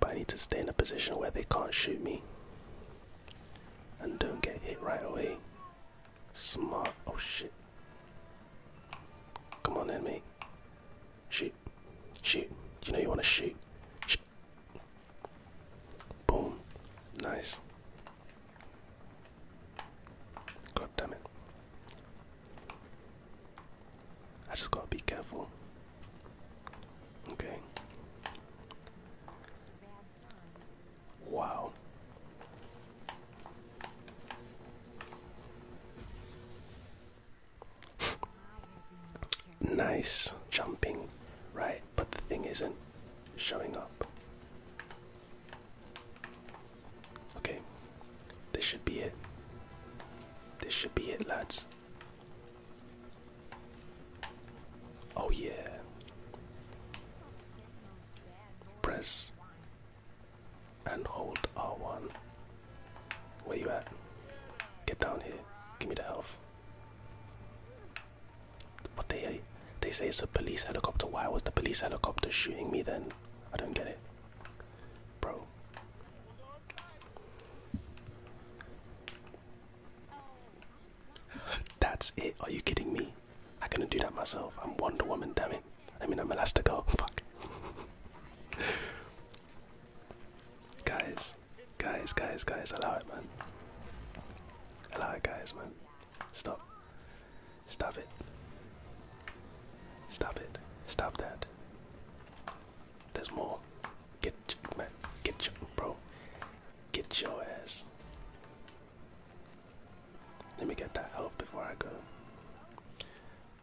but I need to stay in a position where they can't shoot me and don't get hit right away. Smart. Oh shit. Come on then, mate. Shoot. Shoot. You know you want to shoot. Boom. Nice. God damn it. I just gotta be careful. Okay. Wow. nice jumping, right? But the thing isn't showing up. Okay, this should be it. This should be it, lads. Oh, yeah. Press and hold R1. Where you at? Get down here. Give me the health. What they they say it's a police helicopter. Why was the police helicopter shooting me then? I don't get it. Bro. That's it. Are you kidding me? I couldn't do that myself. I'm Wonder Woman, damn it. I mean, I'm to go. Fuck. guys, guys, guys, guys, allow it, man. Allow it, guys, man. Stop. Stop it. Stop it. Stop that. There's more. Get, man. Get your, bro. Get your ass. Let me get that health before I go.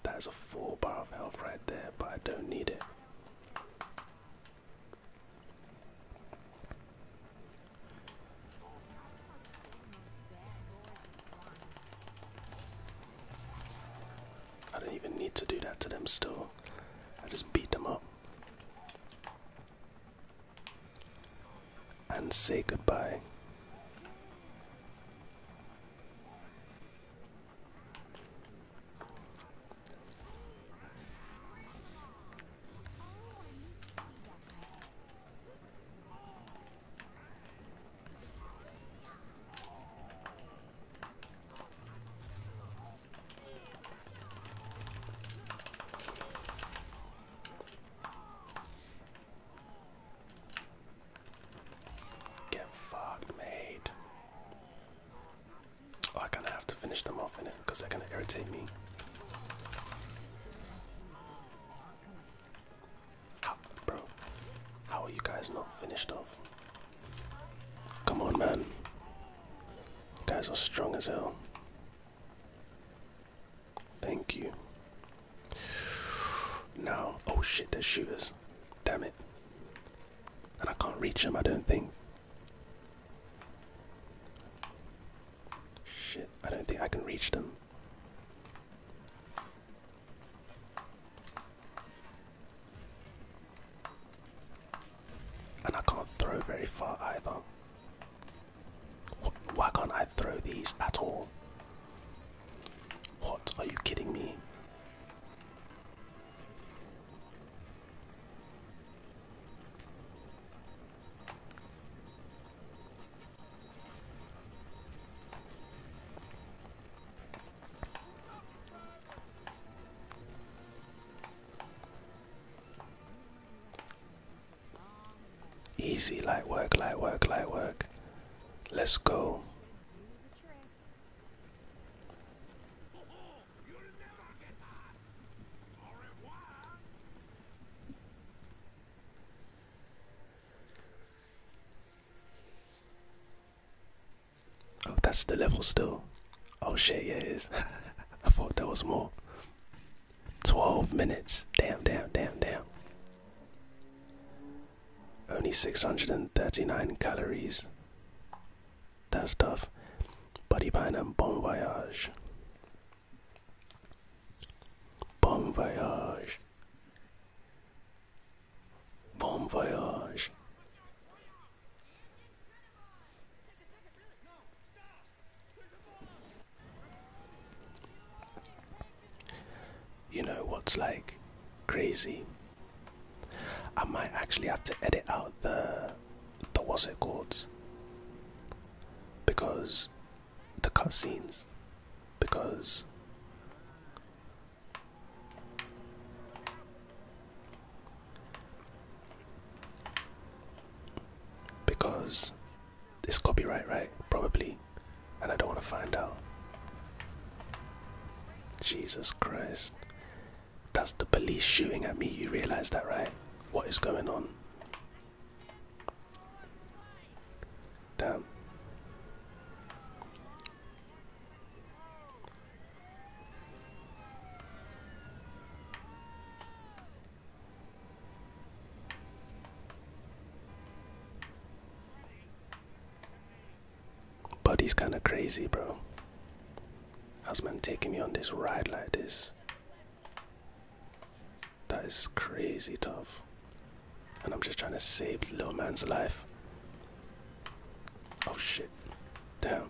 That is a full bar of health right there, but I don't need it. I don't even need to do that to them still. I just beat them up and say goodbye. Get fucked, mate. Oh, I kind of have to finish them off in it because they're gonna irritate me. How, bro, how are you guys not finished off? Come on, man. guys are strong as hell. Thank you. Now, Oh shit, there's shooters. Damn it. And I can't reach them, I don't think. Shit, I don't think I can reach them. And I can't throw very far either. Why can't I throw these at all? What? Are you kidding me? Easy, light work, light work, light work. Let's go. Oh, that's the level still. Oh shit, yeah, it is. *laughs* I thought that was more. 12 minutes. Damn, damn, damn, damn. Only 639 calories. That's tough. Buddy Pine and Bon Voyage. Bon Voyage. Bon Voyage. You know what's like crazy? I might actually have to edit out the the what's it called because the cutscenes because because it's copyright, right? Probably. And I don't want to find out. Jesus Christ. That's the police shooting at me, you realize that, right? What is going on? Damn. Buddy's kinda crazy, bro. How's man taking me on this ride like this? That is crazy tough. And I'm just trying to save little man's life. Oh shit. Damn.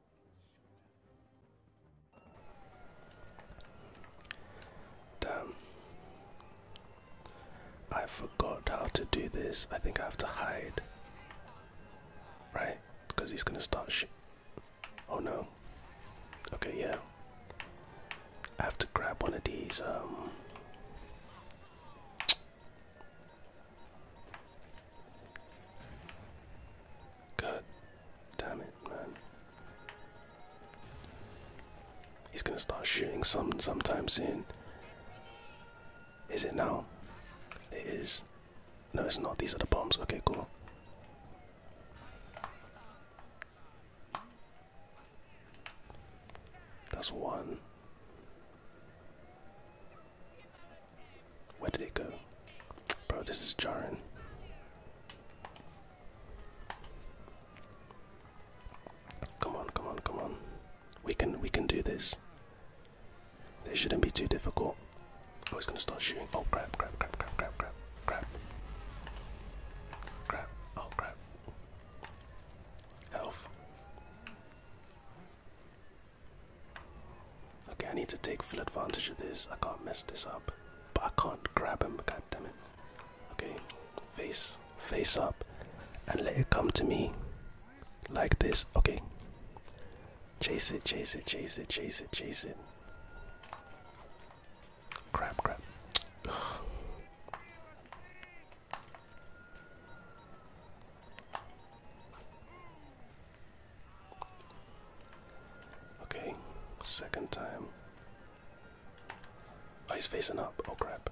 Damn. I forgot how to do this. I think I have to hide. Right? Because he's gonna start sh Oh no. Okay, yeah. I have to grab one of these, um. damn it. He's gonna start shooting some sometime soon. Is it now? It is. No, it's not. These are the bombs. Okay, cool. That's one. Where did it go? Bro, this is jarring. Come on, come on, come on. We can we can do this. This shouldn't be too difficult. Oh, it's gonna start shooting. Oh crap, crap, crap, crap, crap, crap, crap. Oh crap. Health. Okay, I need to take full advantage of this. I can't mess this up. But I can't grab him, god damn it. Okay, face, face up, and let it come to me. Like this. Okay. Chase it, chase it, chase it, chase it, chase it. Crap, crap. Okay, second time. Oh, he's facing up. Oh, crap.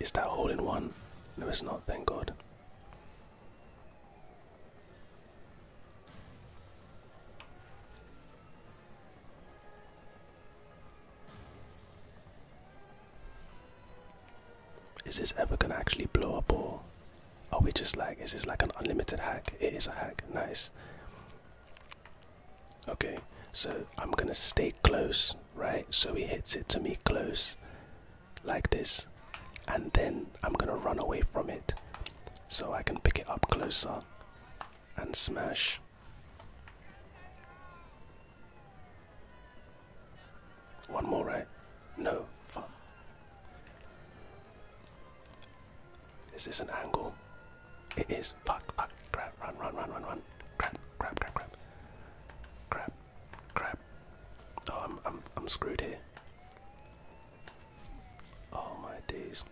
Is that hole in one? No, it's not, thank God. Is this ever gonna actually blow up or are we just like is this like an unlimited hack? It is a hack, nice. Okay, so I'm gonna stay close, right? So he hits it to me close like this, and then I'm gonna run away from it so I can pick it up closer and smash. One more, right? No, fuck. Is this an angle? It is. Fuck, fuck. Crap, run, run, run, run, run. Crap, crap, crap, crap. Crap, crap. Oh, I'm, I'm, I'm screwed here. Oh my days.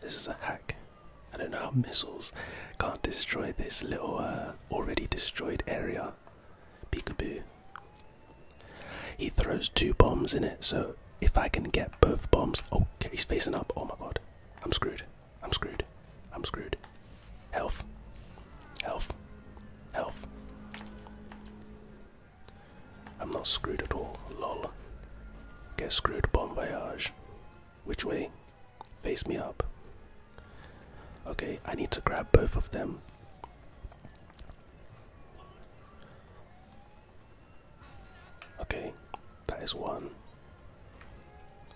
This is a hack. I don't know how missiles can't destroy this little uh, already destroyed area. Peekaboo. He throws two bombs in it, so if I can get both bombs. Oh, okay, he's facing up. Oh my god. I'm screwed. I'm screwed. I'm screwed. Health. Health. Health. I'm not screwed at all, lol. Get screwed, bombayage. Which way? Face me up. Okay, I need to grab both of them. Okay, that is one.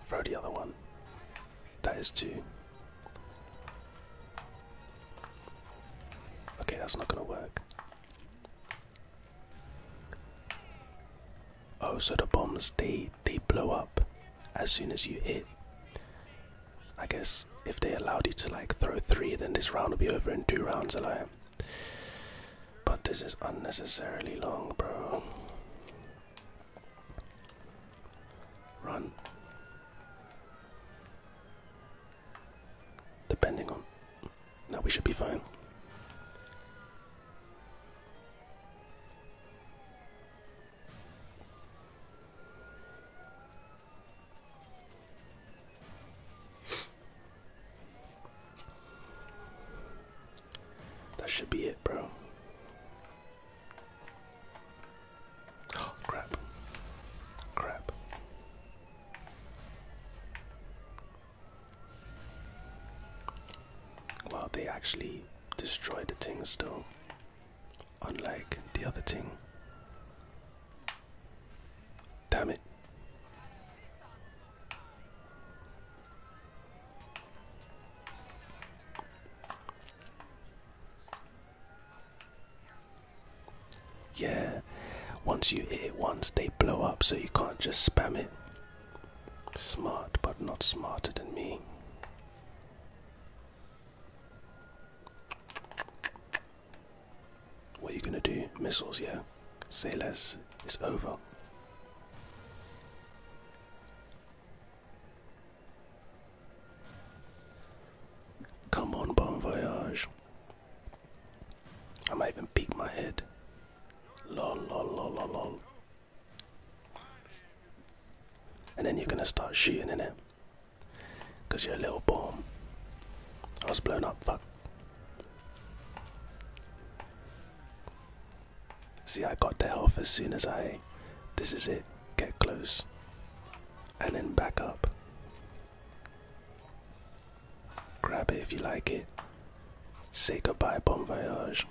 Throw the other one. That is two. Okay, that's not gonna work. Oh, so the bombs they they blow up as soon as you hit. I guess if they allowed you to like throw three, then this round will be over in two rounds alone. But this is unnecessarily long, bro. Run. Depending on. No, we should be fine. That should be it, bro. *gasps* crap. Crap. Well, they actually destroyed the thing still, unlike the other thing. Damn it. Yeah, once you hit it once, they blow up, so you can't just spam it. Smart, but not smarter than me. What are you gonna do? Missiles, yeah? Say less, it's over. Come on, bon voyage. I might even peek my head. Lol, lol, lol, lol, lol. And then you're gonna start shooting in it, cause you're a little bomb. I was blown up. Fuck. See, I got the health as soon as I. This is it. Get close, and then back up. Grab it if you like it. Say goodbye, bon voyage.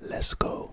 Let's go.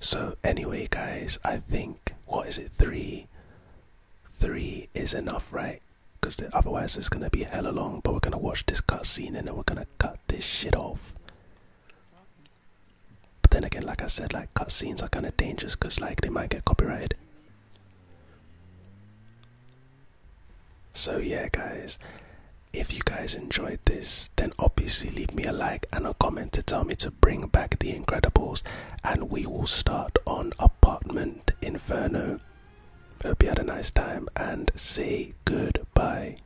So anyway guys, I think what is it three? Three is enough, right? Because otherwise it's gonna be hell long. But we're gonna watch this cut scene, and then we're gonna cut this shit off. But then again, like I said, like cutscenes are kind of dangerous because like they might get copyrighted. So yeah, guys, if you guys enjoyed this, then obviously leave me a like and a comment to tell me to bring back The Incredibles, and we will start on Apartment Inferno. Hope you had a nice time and say goodbye.